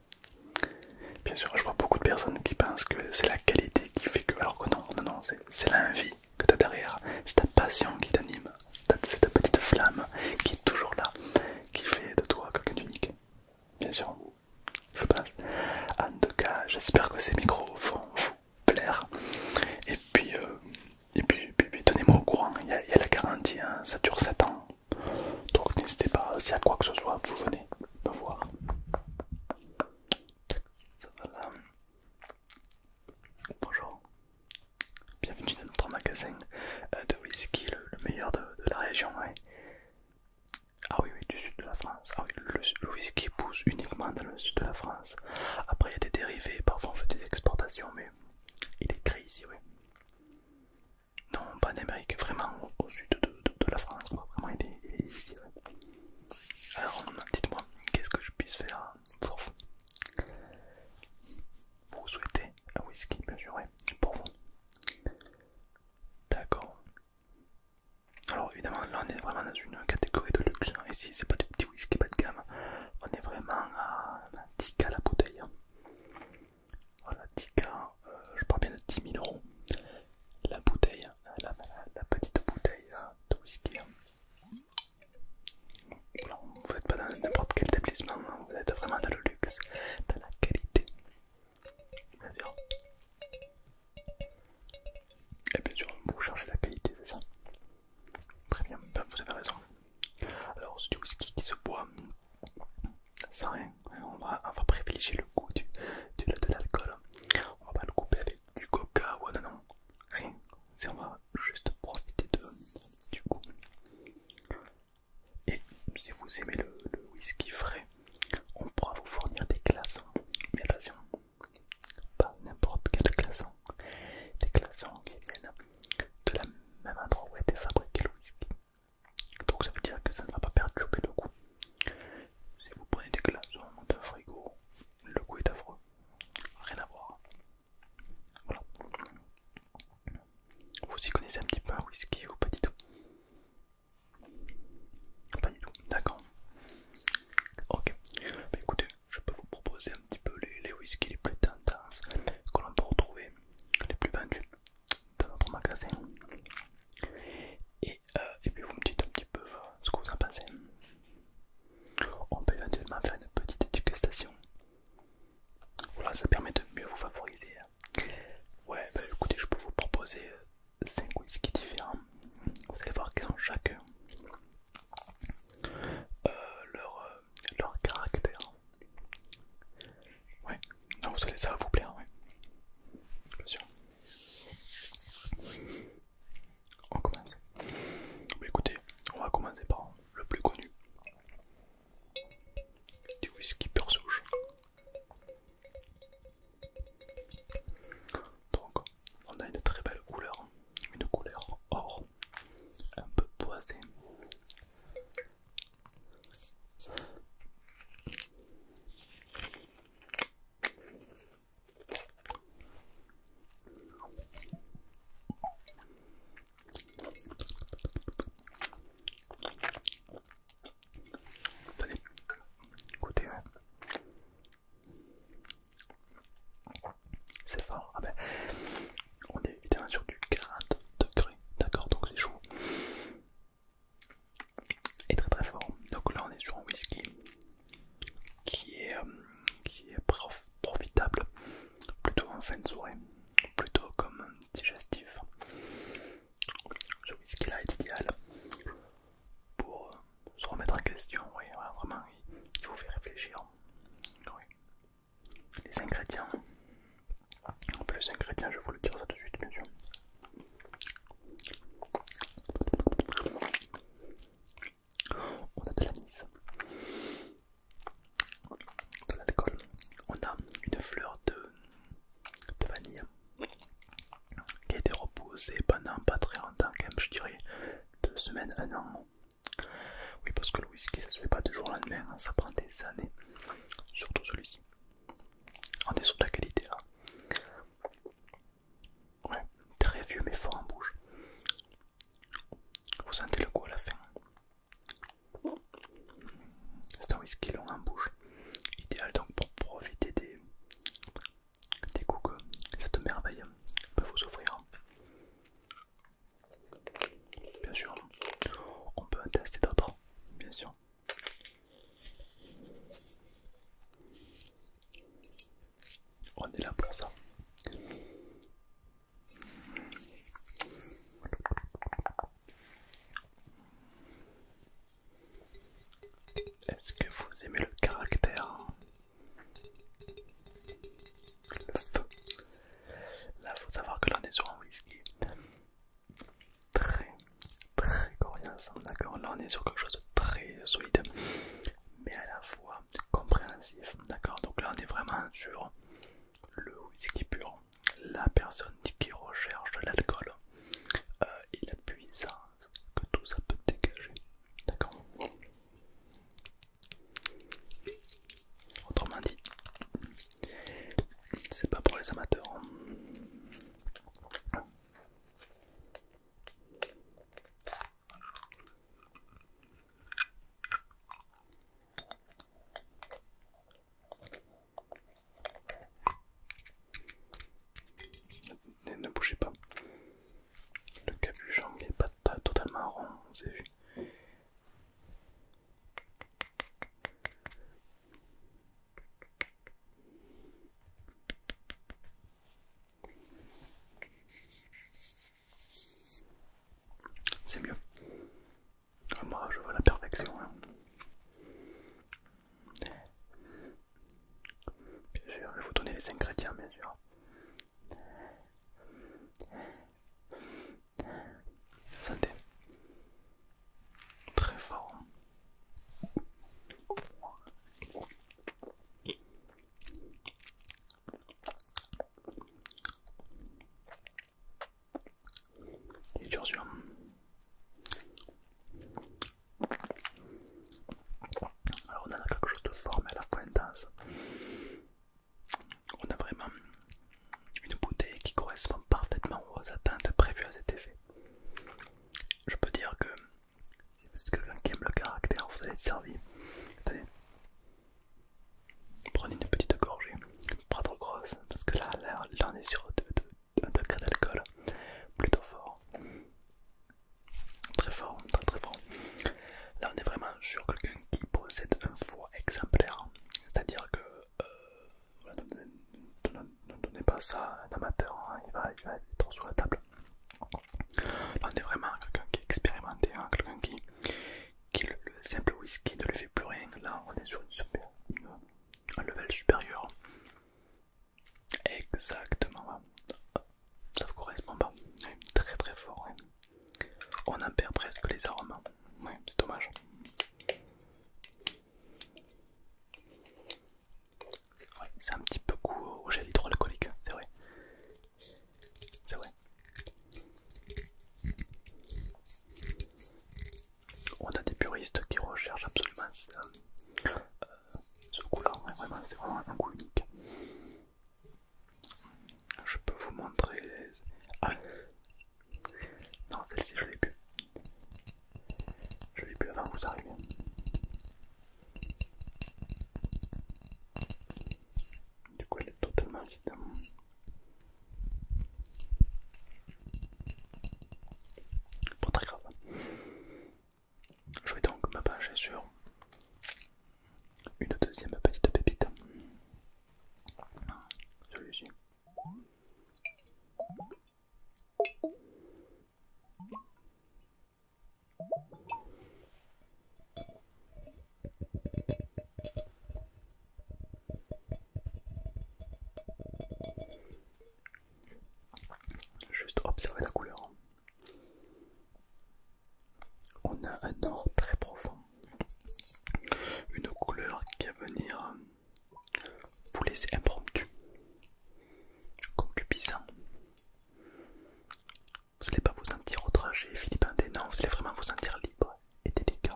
Bien sûr, je vois beaucoup de personnes qui pensent que c'est la qualité qui fait que, alors que non, non, non, c'est l'envie que tu as derrière, c'est ta passion qui t'anime, c'est ta petite flamme qui est toujours là, qui fait de toi quelqu'un d'unique. Bien sûr, je pense. En tout cas, j'espère que ces micros vont vous plaire. Et puis, euh, et puis, tenez-moi au courant, il y, a, la garantie, hein. ça dure 7 ans. Donc n'hésitez pas, s'il y a quoi que ce soit, vous venez me voir. Ça va là Bonjour, bienvenue dans notre magasin euh, de whisky, le, meilleur de, la région. Ah oui, oui, du sud de la France. Ah oui, le, whisky pousse uniquement dans le sud de la France. Après, il y a des dérivés, parfois on fait des exportations, mais il est créé ici, oui. Non, pas en Amérique, vraiment au, sud de, la France, vraiment il est, ici. Alors, dites-moi, qu'est-ce que je puisse faire pour vous Vous souhaitez un whisky, bien sûr, pour vous. D'accord. Alors, évidemment, là on est vraiment dans une catégorie de luxe. Hein. Ici, c'est pas du petit whisky bas de gamme, on est vraiment à 10 à la bouteille. Hein. Voilà, 10K, euh, je parle bien de 10 000 euros. La bouteille, hein, la, petite bouteille hein, de whisky. Hein. vous n'êtes pas dans n'importe quel établissement, vous êtes vraiment dans le luxe, dans la qualité. Bien sûr. Et bien sûr, vous cherchez la qualité, c'est ça Très bien, ben, vous avez raison. Alors, c'est du whisky qui se boit sans rien. On va, privilégier le goût du, de l'alcool. On va pas le couper avec du coca ou non, rien. On va juste profiter de, du goût. Et si vous aimez le, whisky frais, on pourra vous fournir des glaçons. Mais attention, pas n'importe quel glaçon. Des glaçons qui viennent de la même endroit où a été fabriqué le whisky. Donc ça veut dire que ça ne va pas perturber le goût. Si vous prenez des glaçons d'un frigo, le goût est affreux. Rien à voir. Voilà. Vous y connaissez un petit peu un whisky ou pas du tout Pas du tout, d'accord. Ok, bah, écoutez, je peux vous proposer un petit peu les, les whiskies les plus tendances que l'on peut retrouver, les plus vendus dans notre magasin euh, et, puis vous me dites un petit peu euh, ce que vous en pensez. On peut éventuellement faire une petite éducation Voilà, ça permet de mieux vous favoriser. Hein. Ouais, bah, écoutez, je peux vous proposer 5 euh, whisky différents. Vous allez voir qu'ils ont chacun leur, leur caractère, Ouais, non, vous allez, ça va vous plaire, ouais. Bien sûr. On commence. Bah, écoutez, on va commencer par le plus connu. Du whisky peur souche. Donc, on a une très belle couleur, une couleur or, un peu poisée. Tenez, écoutez, hein. c'est fort. Ah ben, on est évidemment sur du 40 degrés, d'accord, donc c'est chaud est très très fort. Donc là on est sur un whisky qui est, euh, qui est profitable plutôt en fin de soirée, plutôt comme digestif. Ce whisky là est idéal pour euh, se remettre en question, oui, vraiment il vous fait réfléchir. Les ingrédients en plus, ingrédients, je vais vous le dire ça tout de suite, bien sûr. On a de l'anise, de l'alcool, on a une fleur de, vanille qui a été reposée pendant pas très longtemps, quand même, je dirais deux semaines, un an. Oui, parce que le whisky ça se fait pas du jour au lendemain, hein, ça prend des années, surtout celui-ci. On est sur de la qualité là. Hein. Ouais, très vieux mais fort en bouche. Vous sentez le goût à la fin. C'est un whisky long en bouche. Idéal donc pour profiter des, des goûts que cette merveille peut vous offrir. Bien sûr, on peut en tester d'autres, bien sûr. On est là pour ça. Est-ce que vous aimez le caractère Là, faut savoir que l'on est sur un whisky très très coriace. D'accord, là on est sur quelque chose de très solide, mais à la fois compréhensif. D'accord, donc là on est vraiment sur le whisky pur. La personne qui recherche l'alcool euh, et la puissance que tout ça peut dégager. D'accord Autrement dit, c'est pas pour les amateurs ne bougez pas. Le capuchon n'est pas totalement rond, vous avez vu. C'est mieux. Ah, moi, je vois la perfection. Hein. Bien sûr, je vais vous donner les ingrédients, bien sûr. Santé. Très fort. Il est dur Alors on a quelque chose de fort mais à la fois intense. On a vraiment une bouteille qui correspond parfaitement aux attentes prévues à cet effet je peux dire que si vous êtes quelqu'un qui aime le caractère, vous allez être servi. prenez une petite gorgée, pas trop grosse, parce que là, on est sur un degré d'alcool plutôt fort. Très fort, très très fort. Là on est vraiment sur quelqu'un qui possède un foie exemplaire, c'est-à-dire que euh, ne donnez, pas ça à un amateur, hein. il, va, être sur la table. Là on est vraiment quelqu'un qui est expérimenté, hein. quelqu'un qui, le, simple whisky ne lui fait plus rien. Là on est sur un level supérieur. Exactement, ça vous correspond pas. très très fort. On en perd presque les arômes. Hein. Oui, c'est dommage c'est un petit peu goût au gel hydroalcoolique, hein, c'est vrai. C'est vrai. On a des puristes qui recherchent absolument ce euh, goût-là, vraiment, c'est vraiment un goût unique. Je peux vous montrer. Ah, non, celle-ci je l'ai pu. Je l'ai bu avant vous arrivez. Du coup, elle est totalement vide. Pas très grave. Je vais donc me pencher sur une deuxième petite pépite. Celui-ci. Juste observer la couleur. On a un or très profond, une couleur qui va venir vous laissez impromptu, concupiscent. Vous n'allez pas vous sentir outragé, Philippe non, vous allez vraiment vous sentir libre et délicat.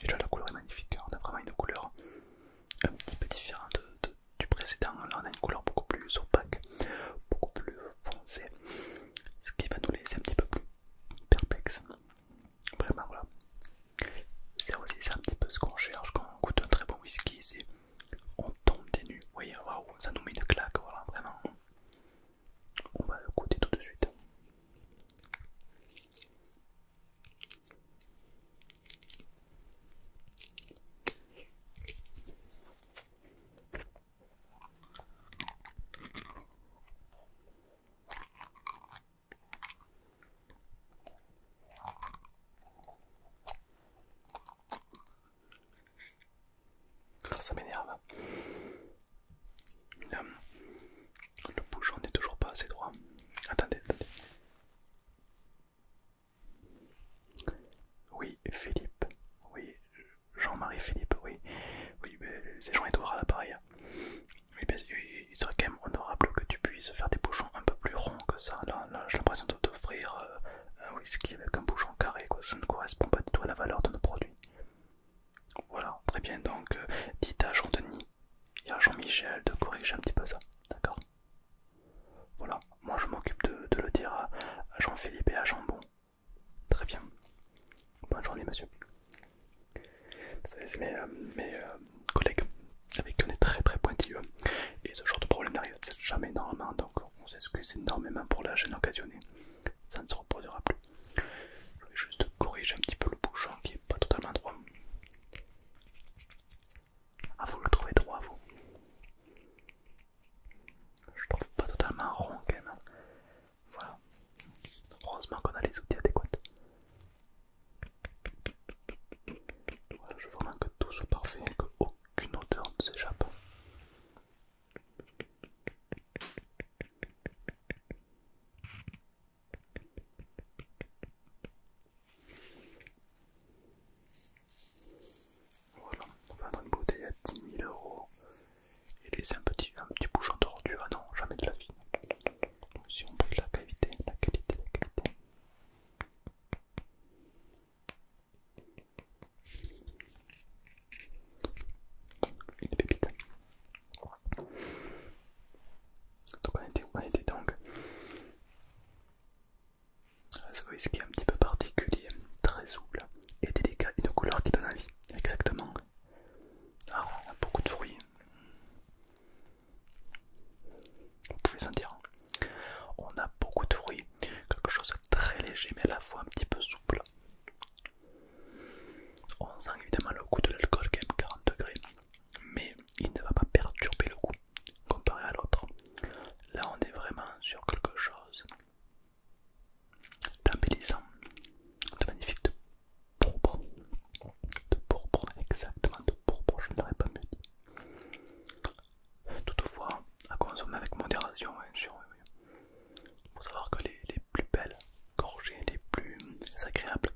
Déjà la couleur est magnifique, hein, on a vraiment une couleur un petit peu différente du précédent, là on a une couleur beaucoup plus opaque, beaucoup plus foncée, ce qui va nous laisser un petit peu plus perplexe. Vraiment, voilà. C'est aussi, c'est un petit peu ce qu'on cherche quand on goûte un très bon whisky, c'est on tombe des nues. Vous voyez, waouh, ça nous met une claque, voilà, vraiment. On va le goûter tout de suite. Ah, ça m'énerve. Le bouchon n'est toujours pas assez droit. Attendez, attendez. Oui, Philippe. Oui, Jean-Marie Philippe, oui. Oui, c'est Jean-Edouard à l'appareil. Oui, il serait quand même honorable que tu puisses faire des bouchons un peu plus ronds que ça. Là, j'ai l'impression de t'offrir euh, un whisky avec un bouchon carré, quoi. ça ne correspond pas du tout à la valeur de nos produits. Voilà, très bien, donc euh, dites à Jean-Denis et à Jean-Michel de corriger un petit peu ça, d'accord Voilà, moi je m'occupe de, le dire à, à Jean-Philippe et à Jean-Bon. Très bien. Bonne journée, monsieur. Vous savez, mes euh, euh, collègues avec qui on est très très pointilleux et ce genre de problème n'arrive jamais normalement donc on s'excuse énormément pour la gêne occasionnée, ça ne se reproduira plus. Je vais juste corriger un petit peu le bouchon qui n'est pas totalement droit. Ah vous le trouvez droit vous Je trouve pas totalement rond quand même. Voilà. Heureusement qu'on a les outils adéquats. Voilà, je veux vraiment que tout soit parfait, et qu'aucune odeur ne s'échappe. Voilà, on va vendre une bouteille à 10 000 euros et laisser un petit, un petit bouchon tordu. Ah non, jamais de la vie si on brûle la cavité, la qualité, la cavité. Une pépite. Donc on était, on était donc ce whisky un petit peu particulier, très souple et délicat, une couleur qui donne envie, exactement. Alors, ah, beaucoup de fruits. Vous pouvez sentir. Hein. On a beaucoup de fruits, quelque chose de très léger mais à la fois un petit peu souple. On sent évidemment le goût de l'alcool est même 40 degrés, mais il ne va pas perturber le goût comparé à l'autre. Là on est vraiment sur quelque chose d'embellissant, de magnifique, pourpre, de pourpre, exactement de pourpre, je n'aurais pas mieux dit. Toutefois, à consommer avec modération, bien sûr, faut savoir que les, plus belles gorgées, les plus agréables,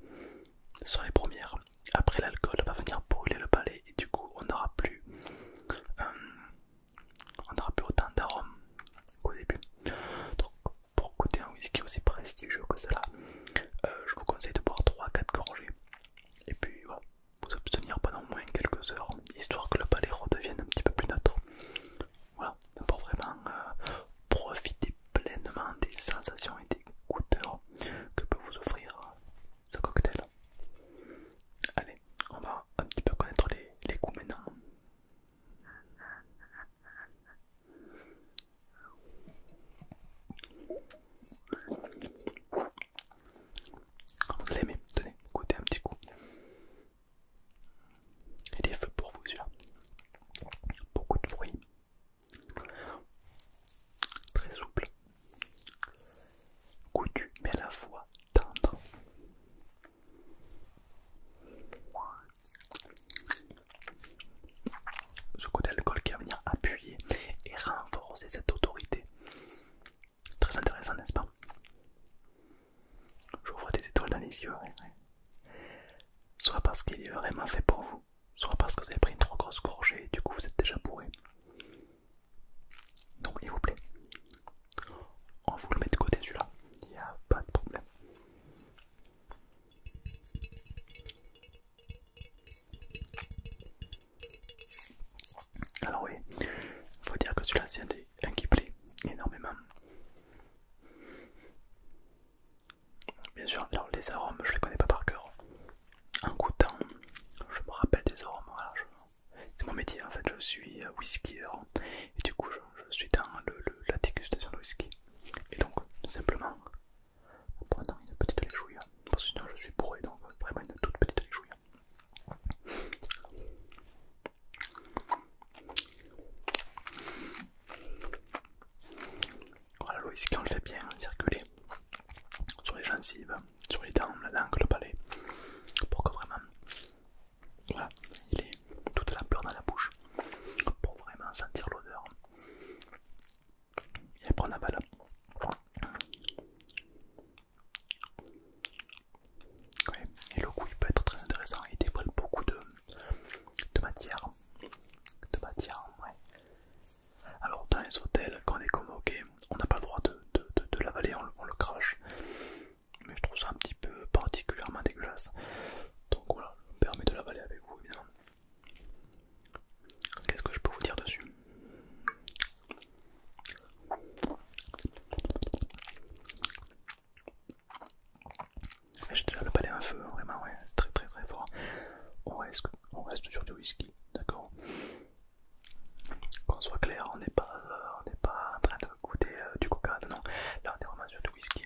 sont les premières. Après, l'alcool va venir brûler le palais et du coup, on n'aura plus, euh, on n'aura plus autant d'arômes qu'au début. Donc, pour goûter un whisky aussi prestigieux que cela, euh, je vous conseille de boire 3-4 gorgées et puis vous abstenir pendant au moins quelques heures, histoire que le palais redevienne un petit peu plus neutre. Voilà, pour vraiment euh, profiter pleinement des sensations et des goûteurs que peut vous offrir euh, ce cocktail. Allez, on va un petit peu connaître les, les goûts maintenant. Vous l'aimez, tenez, goûtez un petit coup. Et des feux pour vous, celui Beaucoup de fruits. Très souple. Goûtu, mais à la fois tendre ce côté d'alcool qui va venir appuyer et renforcer cette autorité. Très intéressant, n'est-ce pas Je vois des étoiles dans les yeux. Soit parce qu'il est vraiment fait pour vous, soit parce que vous avez pris une trop grosse gorgée et du coup vous êtes déjà bourré. Donc il vous plaît, on vous le met de côté celui-là, il n'y a pas de problème. Alors oui, faut dire que celui-là c'est un, qui plaît énormément. Bien sûr, les arômes, je les connais pas par cœur. En goûtant, je me rappelle des arômes. C'est mon métier en fait, je suis euh, whiskyer et du coup je, suis dans la dégustation de whisky. Et donc, simplement, en prenant une petite léchouille, parce hein. que sinon je suis bourré, donc euh, vraiment une toute petite léchouille. Voilà, hein. oh, Louis, quand on le fait bien hein, circuler sur les gencives, sur les dents, la langue, le palais, pour que vraiment voilà, il ait toute la peur dans la bouche, pour vraiment sentir l'odeur et après on balle Et le coup il peut être très intéressant, il dévoile beaucoup de, matière. De matière, Alors dans les hôtels, quand on est convoqué, on n'a pas le droit de, de, l'avaler, on, le crache. Mais je trouve ça un petit peu particulièrement dégueulasse. Donc voilà, je permets de l'avaler avec vous bien Qu'est-ce que je peux vous dire dessus ah, J'ai déjà le palais à feu, vraiment, ouais, c'est très très très fort. On reste, sur du whisky, d'accord Qu'on soit clair, on n'est pas, euh, pas en train de goûter euh, du coca, non, là on est vraiment sur du whisky.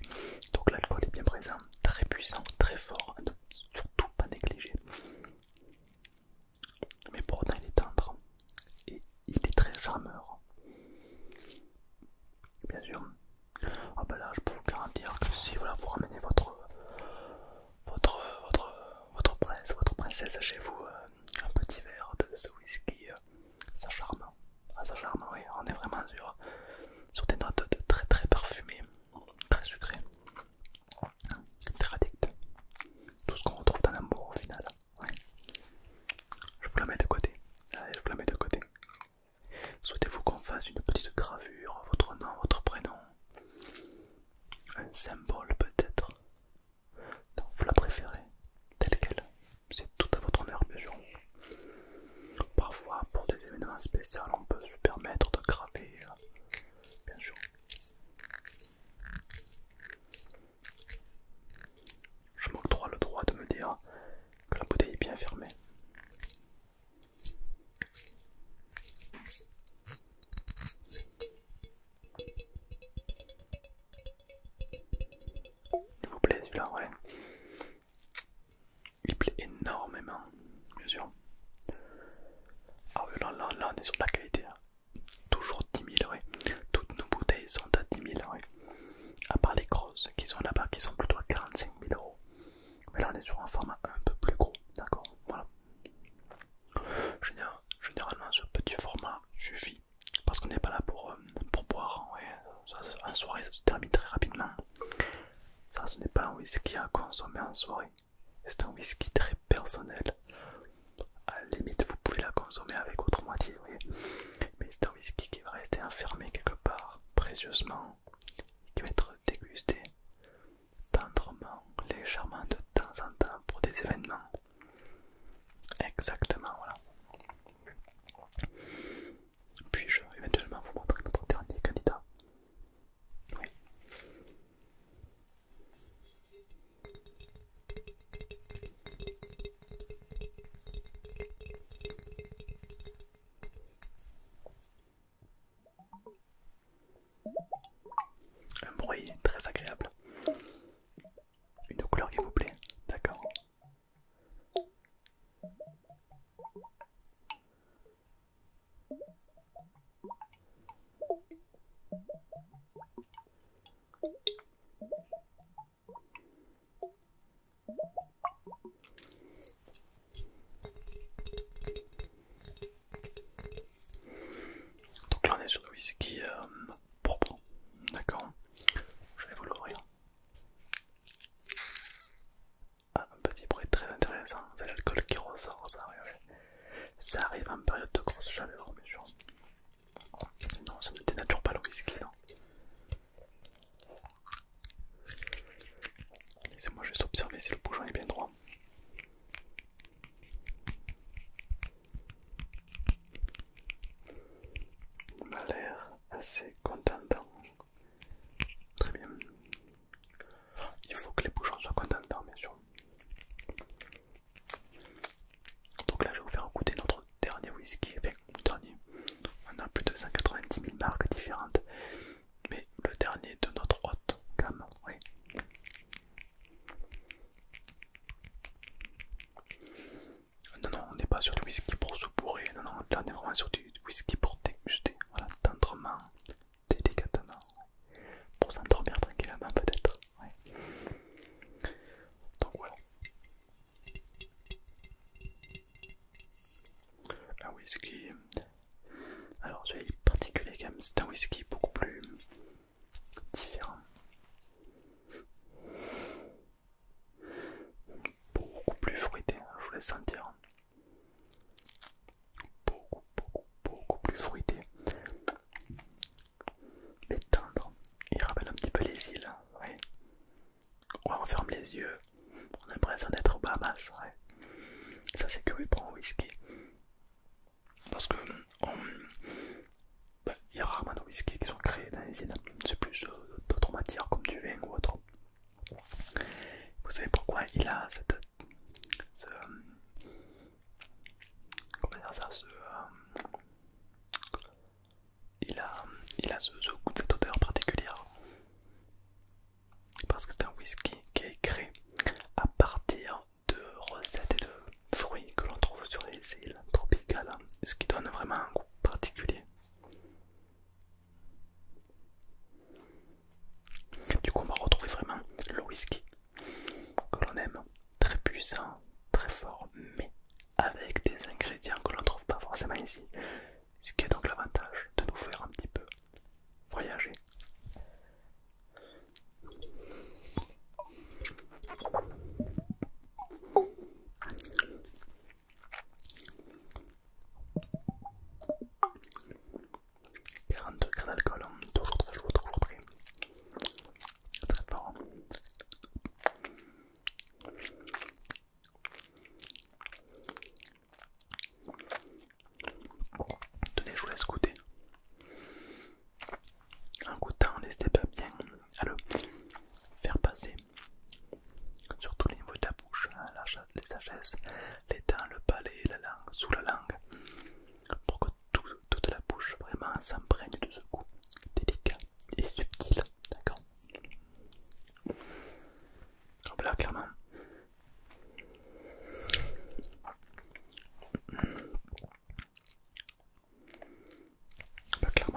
Donc l'alcool est bien présent, très puissant, très fort, surtout pas négligé. Mais pour autant, il est tendre et il est très charmeur. Bien sûr. Ah ben là, je peux vous garantir que si voilà, vous ramenez votre votre votre votre prince, votre princesse chez vous, euh, un petit verre de ce whisky, euh, ça charme. Ah, ça charme, oui. On est vraiment sur sur des notes de très très parfumées très sucré, très addict. Tout ce qu'on retrouve dans l'amour au final. Je vous la mets de côté. je vous la mets de côté. Souhaitez-vous qu'on fasse une petite gravure, votre nom, votre prénom, un symbole peut-être Vous la préférez telle qu'elle, c'est tout à votre honneur bien Parfois, pour des événements spéciaux, on peut se permettre de graver bien sûr. Je m'octroie le droit de me dire que la bouteille est bien fermée. Il vous plaît celui-là, ouais il plaît énormément, bien sûr. Ah là, là, on est sur la qualité. Hein. Toujours 10 Toutes nos bouteilles sont à 10 000, À part les grosses qui sont là-bas, qui sont plutôt à 45 000 euros. Mais là, on est sur un format un peu plus gros, d'accord Voilà. généralement, ce petit format suffit parce qu'on n'est pas là pour, euh, boire. en soirée, ça se termine très rapidement. Ça, ce n'est pas un whisky à consommer en soirée. C'est un whisky très personnel. À la limite, vous pouvez la consommer avec autre moitié, Mais c'est un whisky qui va rester enfermé quelque part, précieusement, qui va être dégusté tendrement, légèrement de temps en temps pour des événements. Exactement, voilà. Puis-je éventuellement vous montrer notre dernier candidat un bruit très agréable. Une couleur qui vous plaît, d'accord donc là on est sur le whisky propre, euh, d'accord Je vais vous l'ouvrir. Ah, un petit bruit très intéressant, c'est l'alcool qui ressort, ça, arrive en période de grosse chaleur, bien sûr. Non, ça ne dénature pas le whisky, Laissez-moi juste observer si le bouchon est bien droit. Il m'a l'air assez contentant. Très bien. Il faut que les bouchons soient contents bien sûr. Donc là, je vais vous faire goûter notre dernier whisky. dernier. On a plus de 190 000 marques différentes. Mais le dernier de notre haute gamme, oui. Non, non, on n'est pas sur du whisky pour se bourrer. Non, non, là, on est vraiment sur du whisky pour déguster. Voilà, tendrement, délicatement pour s'endormir tranquillement peut-être. Donc voilà. Un whisky. Alors celui est particulier quand même, c'est un whisky beaucoup plus différent. Beaucoup plus fruité, hein, je vous laisse sentir. Beaucoup, beaucoup, beaucoup plus fruité. Mais tendre. Il rappelle un petit peu les îles. Ouais. on ferme les yeux. On a l'impression d'être aux Bahamas. Ça c'est curieux pour un whisky. Parce que bah, il y a rarement de whisky qui sont créés dans les îles. C'est plus euh, d'autres matières comme du vin ou autre. Vous savez pourquoi il a cette, ce, comment dire ça, euh, il a, il a ce, cette odeur particulière parce que c'est un whisky qui est créé à partir de recettes et de fruits que l'on trouve sur les îles tropicales, ce qui donne vraiment un goût particulier. Du coup, on va retrouver vraiment le whisky que l'on aime, très puissant, très fort, mais avec des ingrédients que l'on ne trouve pas forcément ici. Ce qui est donc l'avantage de nous faire un petit peu voyager. 40 degrés d'alcool, hein. toujours très chaud, toujours très, hein. très fort. Hein. Tenez, je vous laisse goûter. En goûtant, n'hésitez pas bien à le faire passer sur tous les niveaux de la bouche, la, les sagesse, les dents, le palais, la langue, sous la langue, pour que toute la bouche vraiment s'emprègne de ce goût délicat et subtil, d'accord là, clairement.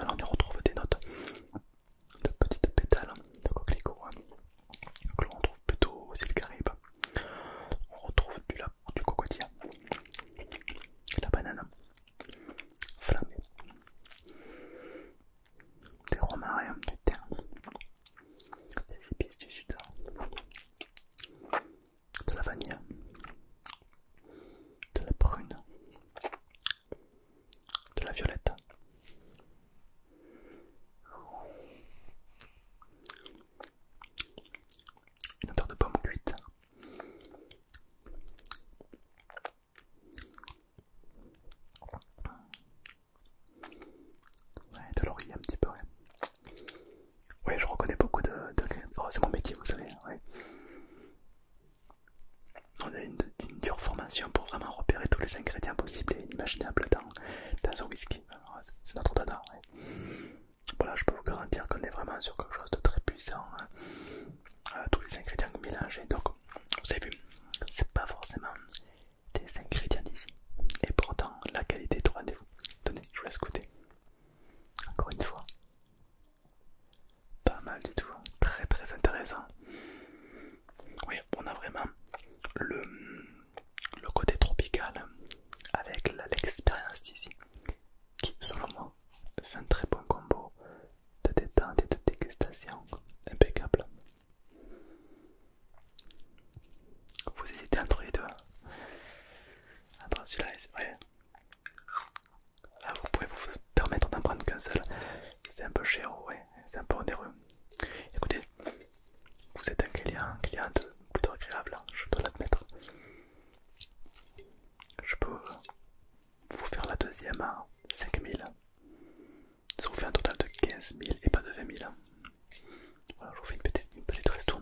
on y retrouve des notes de petites pétales de coquelicots. Hein que l'on retrouve plutôt aux îles Caraïbes. On retrouve du, la, du cocotier, la banane flamme, des romariums, du thym, des épices du sud, de la vanille, de la prune, de la violette, une odeur de pomme cuite. Ouais, de l'oreiller un petit peu, ouais. Ouais, je reconnais beaucoup de... Oh, c'est mon métier, vous savez, ouais. On a une, dure formation pour vraiment repérer tous les ingrédients possibles et imaginables dans un whisky. C'est notre dada. Voilà, je peux vous garantir qu'on est vraiment sur quelque chose de très puissant. Hein. Euh, tous les ingrédients mélangés. Donc, vous avez vu, c'est pas forcément des ingrédients d'ici. Et pourtant, la qualité est rendez-vous. Tenez, je vous laisse Encore une fois. Pas mal du tout. Hein. Très très intéressant. Oui, on a vraiment le le côté tropical avec l'expérience d'ici qui selon moi fait un très bon combo de détente et de dégustation impeccable. Vous hésitez entre les deux. Entre celui-là et ah, vous pouvez vous permettre d'en prendre qu'un seul. C'est un peu cher, ouais. C'est un peu onéreux. Écoutez, vous êtes un client, client plutôt agréable, hein, je dois l'admettre. Je peux vous faire la deuxième à 5000. Ça vous fait un total de 15 000 et pas de 20 000. Hein. je vous fais une petite, une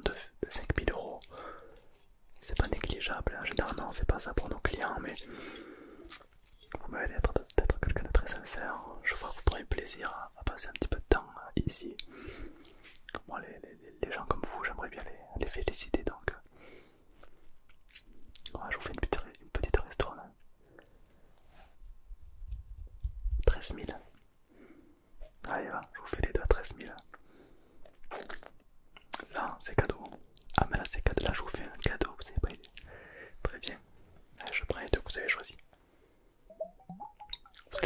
de 5000 euros. C'est pas négligeable, hein. généralement on fait pas ça pour nos clients, mais vous m'avez l'air d'être quelqu'un de très sincère. Je vois que vous pourrez plaisir à va passer un petit peu de temps euh, ici. Bon, les, gens comme vous, j'aimerais bien les, féliciter donc. Voilà, euh. je vous fais une petite, restaurant 13 000. Allez, je vous fais les deux à 13 000. Là, c'est cadeau. Ah, mais là, c'est cadeau. Là, je vous fais un cadeau, vous avez pas Très bien. je prends les deux que vous avez choisi pas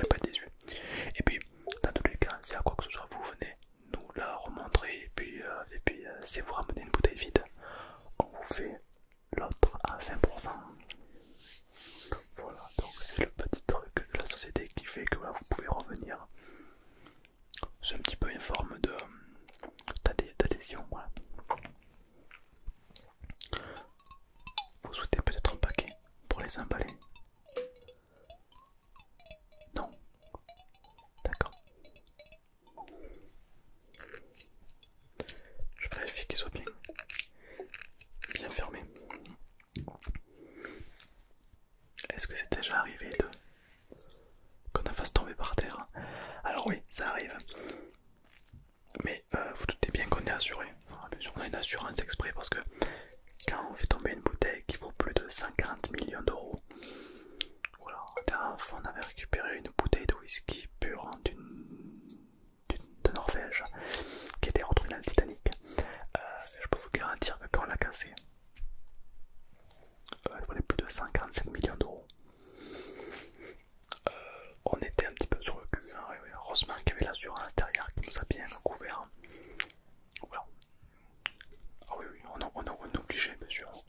Et puis, dans tous les cas, si à quoi que ce soit vous venez nous la remontrer, et puis, euh, euh, si vous ramenez une bouteille vide, on vous fait l'autre à 20%. Voilà, donc c'est le petit truc de la société qui fait que bah, vous pouvez revenir. C'est un petit peu une forme de d'adhésion, voilà. Vous souhaitez peut-être un paquet pour les emballer Non D'accord. Je vérifie qu'ils soient bien, fermés. Est-ce que c'est déjà arrivé qu'on la fasse tomber par terre Alors oui, ça arrive mais euh, vous doutez bien qu'on est assuré. On a une assurance exprès parce que quand on fait tomber une bouteille qui vaut plus de 140 millions d'euros, voilà, on avait récupéré une bouteille de whisky pure hein, de Norvège qui était retrouvée dans le Titanic. Euh, je peux vous garantir que quand on l'a cassée, euh, elle valait plus de 145 millions d'euros. Euh, on était un petit peu sur le cul, hein. heureusement qu'il y avait sueur à l'intérieur qui nous a bien couvert. Hein. Voilà. Ah oui, oui, on, est obligé, bien sûr. Ah,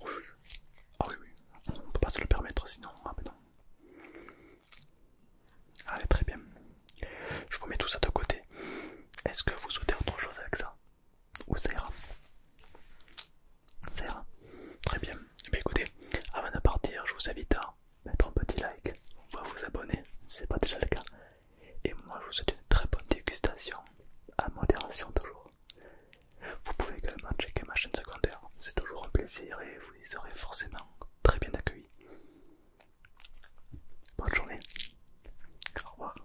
ah oui, oui, on peut pas se le permettre sinon. Ah, ben non. Allez, très bien. Je vous mets tout ça de côté. Est-ce que vous souhaitez autre chose avec ça Ou ça ira Ça Très bien. et eh écoutez, avant de partir, je vous invite à mettre un petit like ou va vous abonner si pas déjà le cas. Et moi je vous souhaite une très bonne dégustation, à modération toujours. Vous pouvez également checker ma chaîne secondaire, c'est toujours un plaisir et vous y serez forcément très bien accueillis. Bonne journée, au revoir.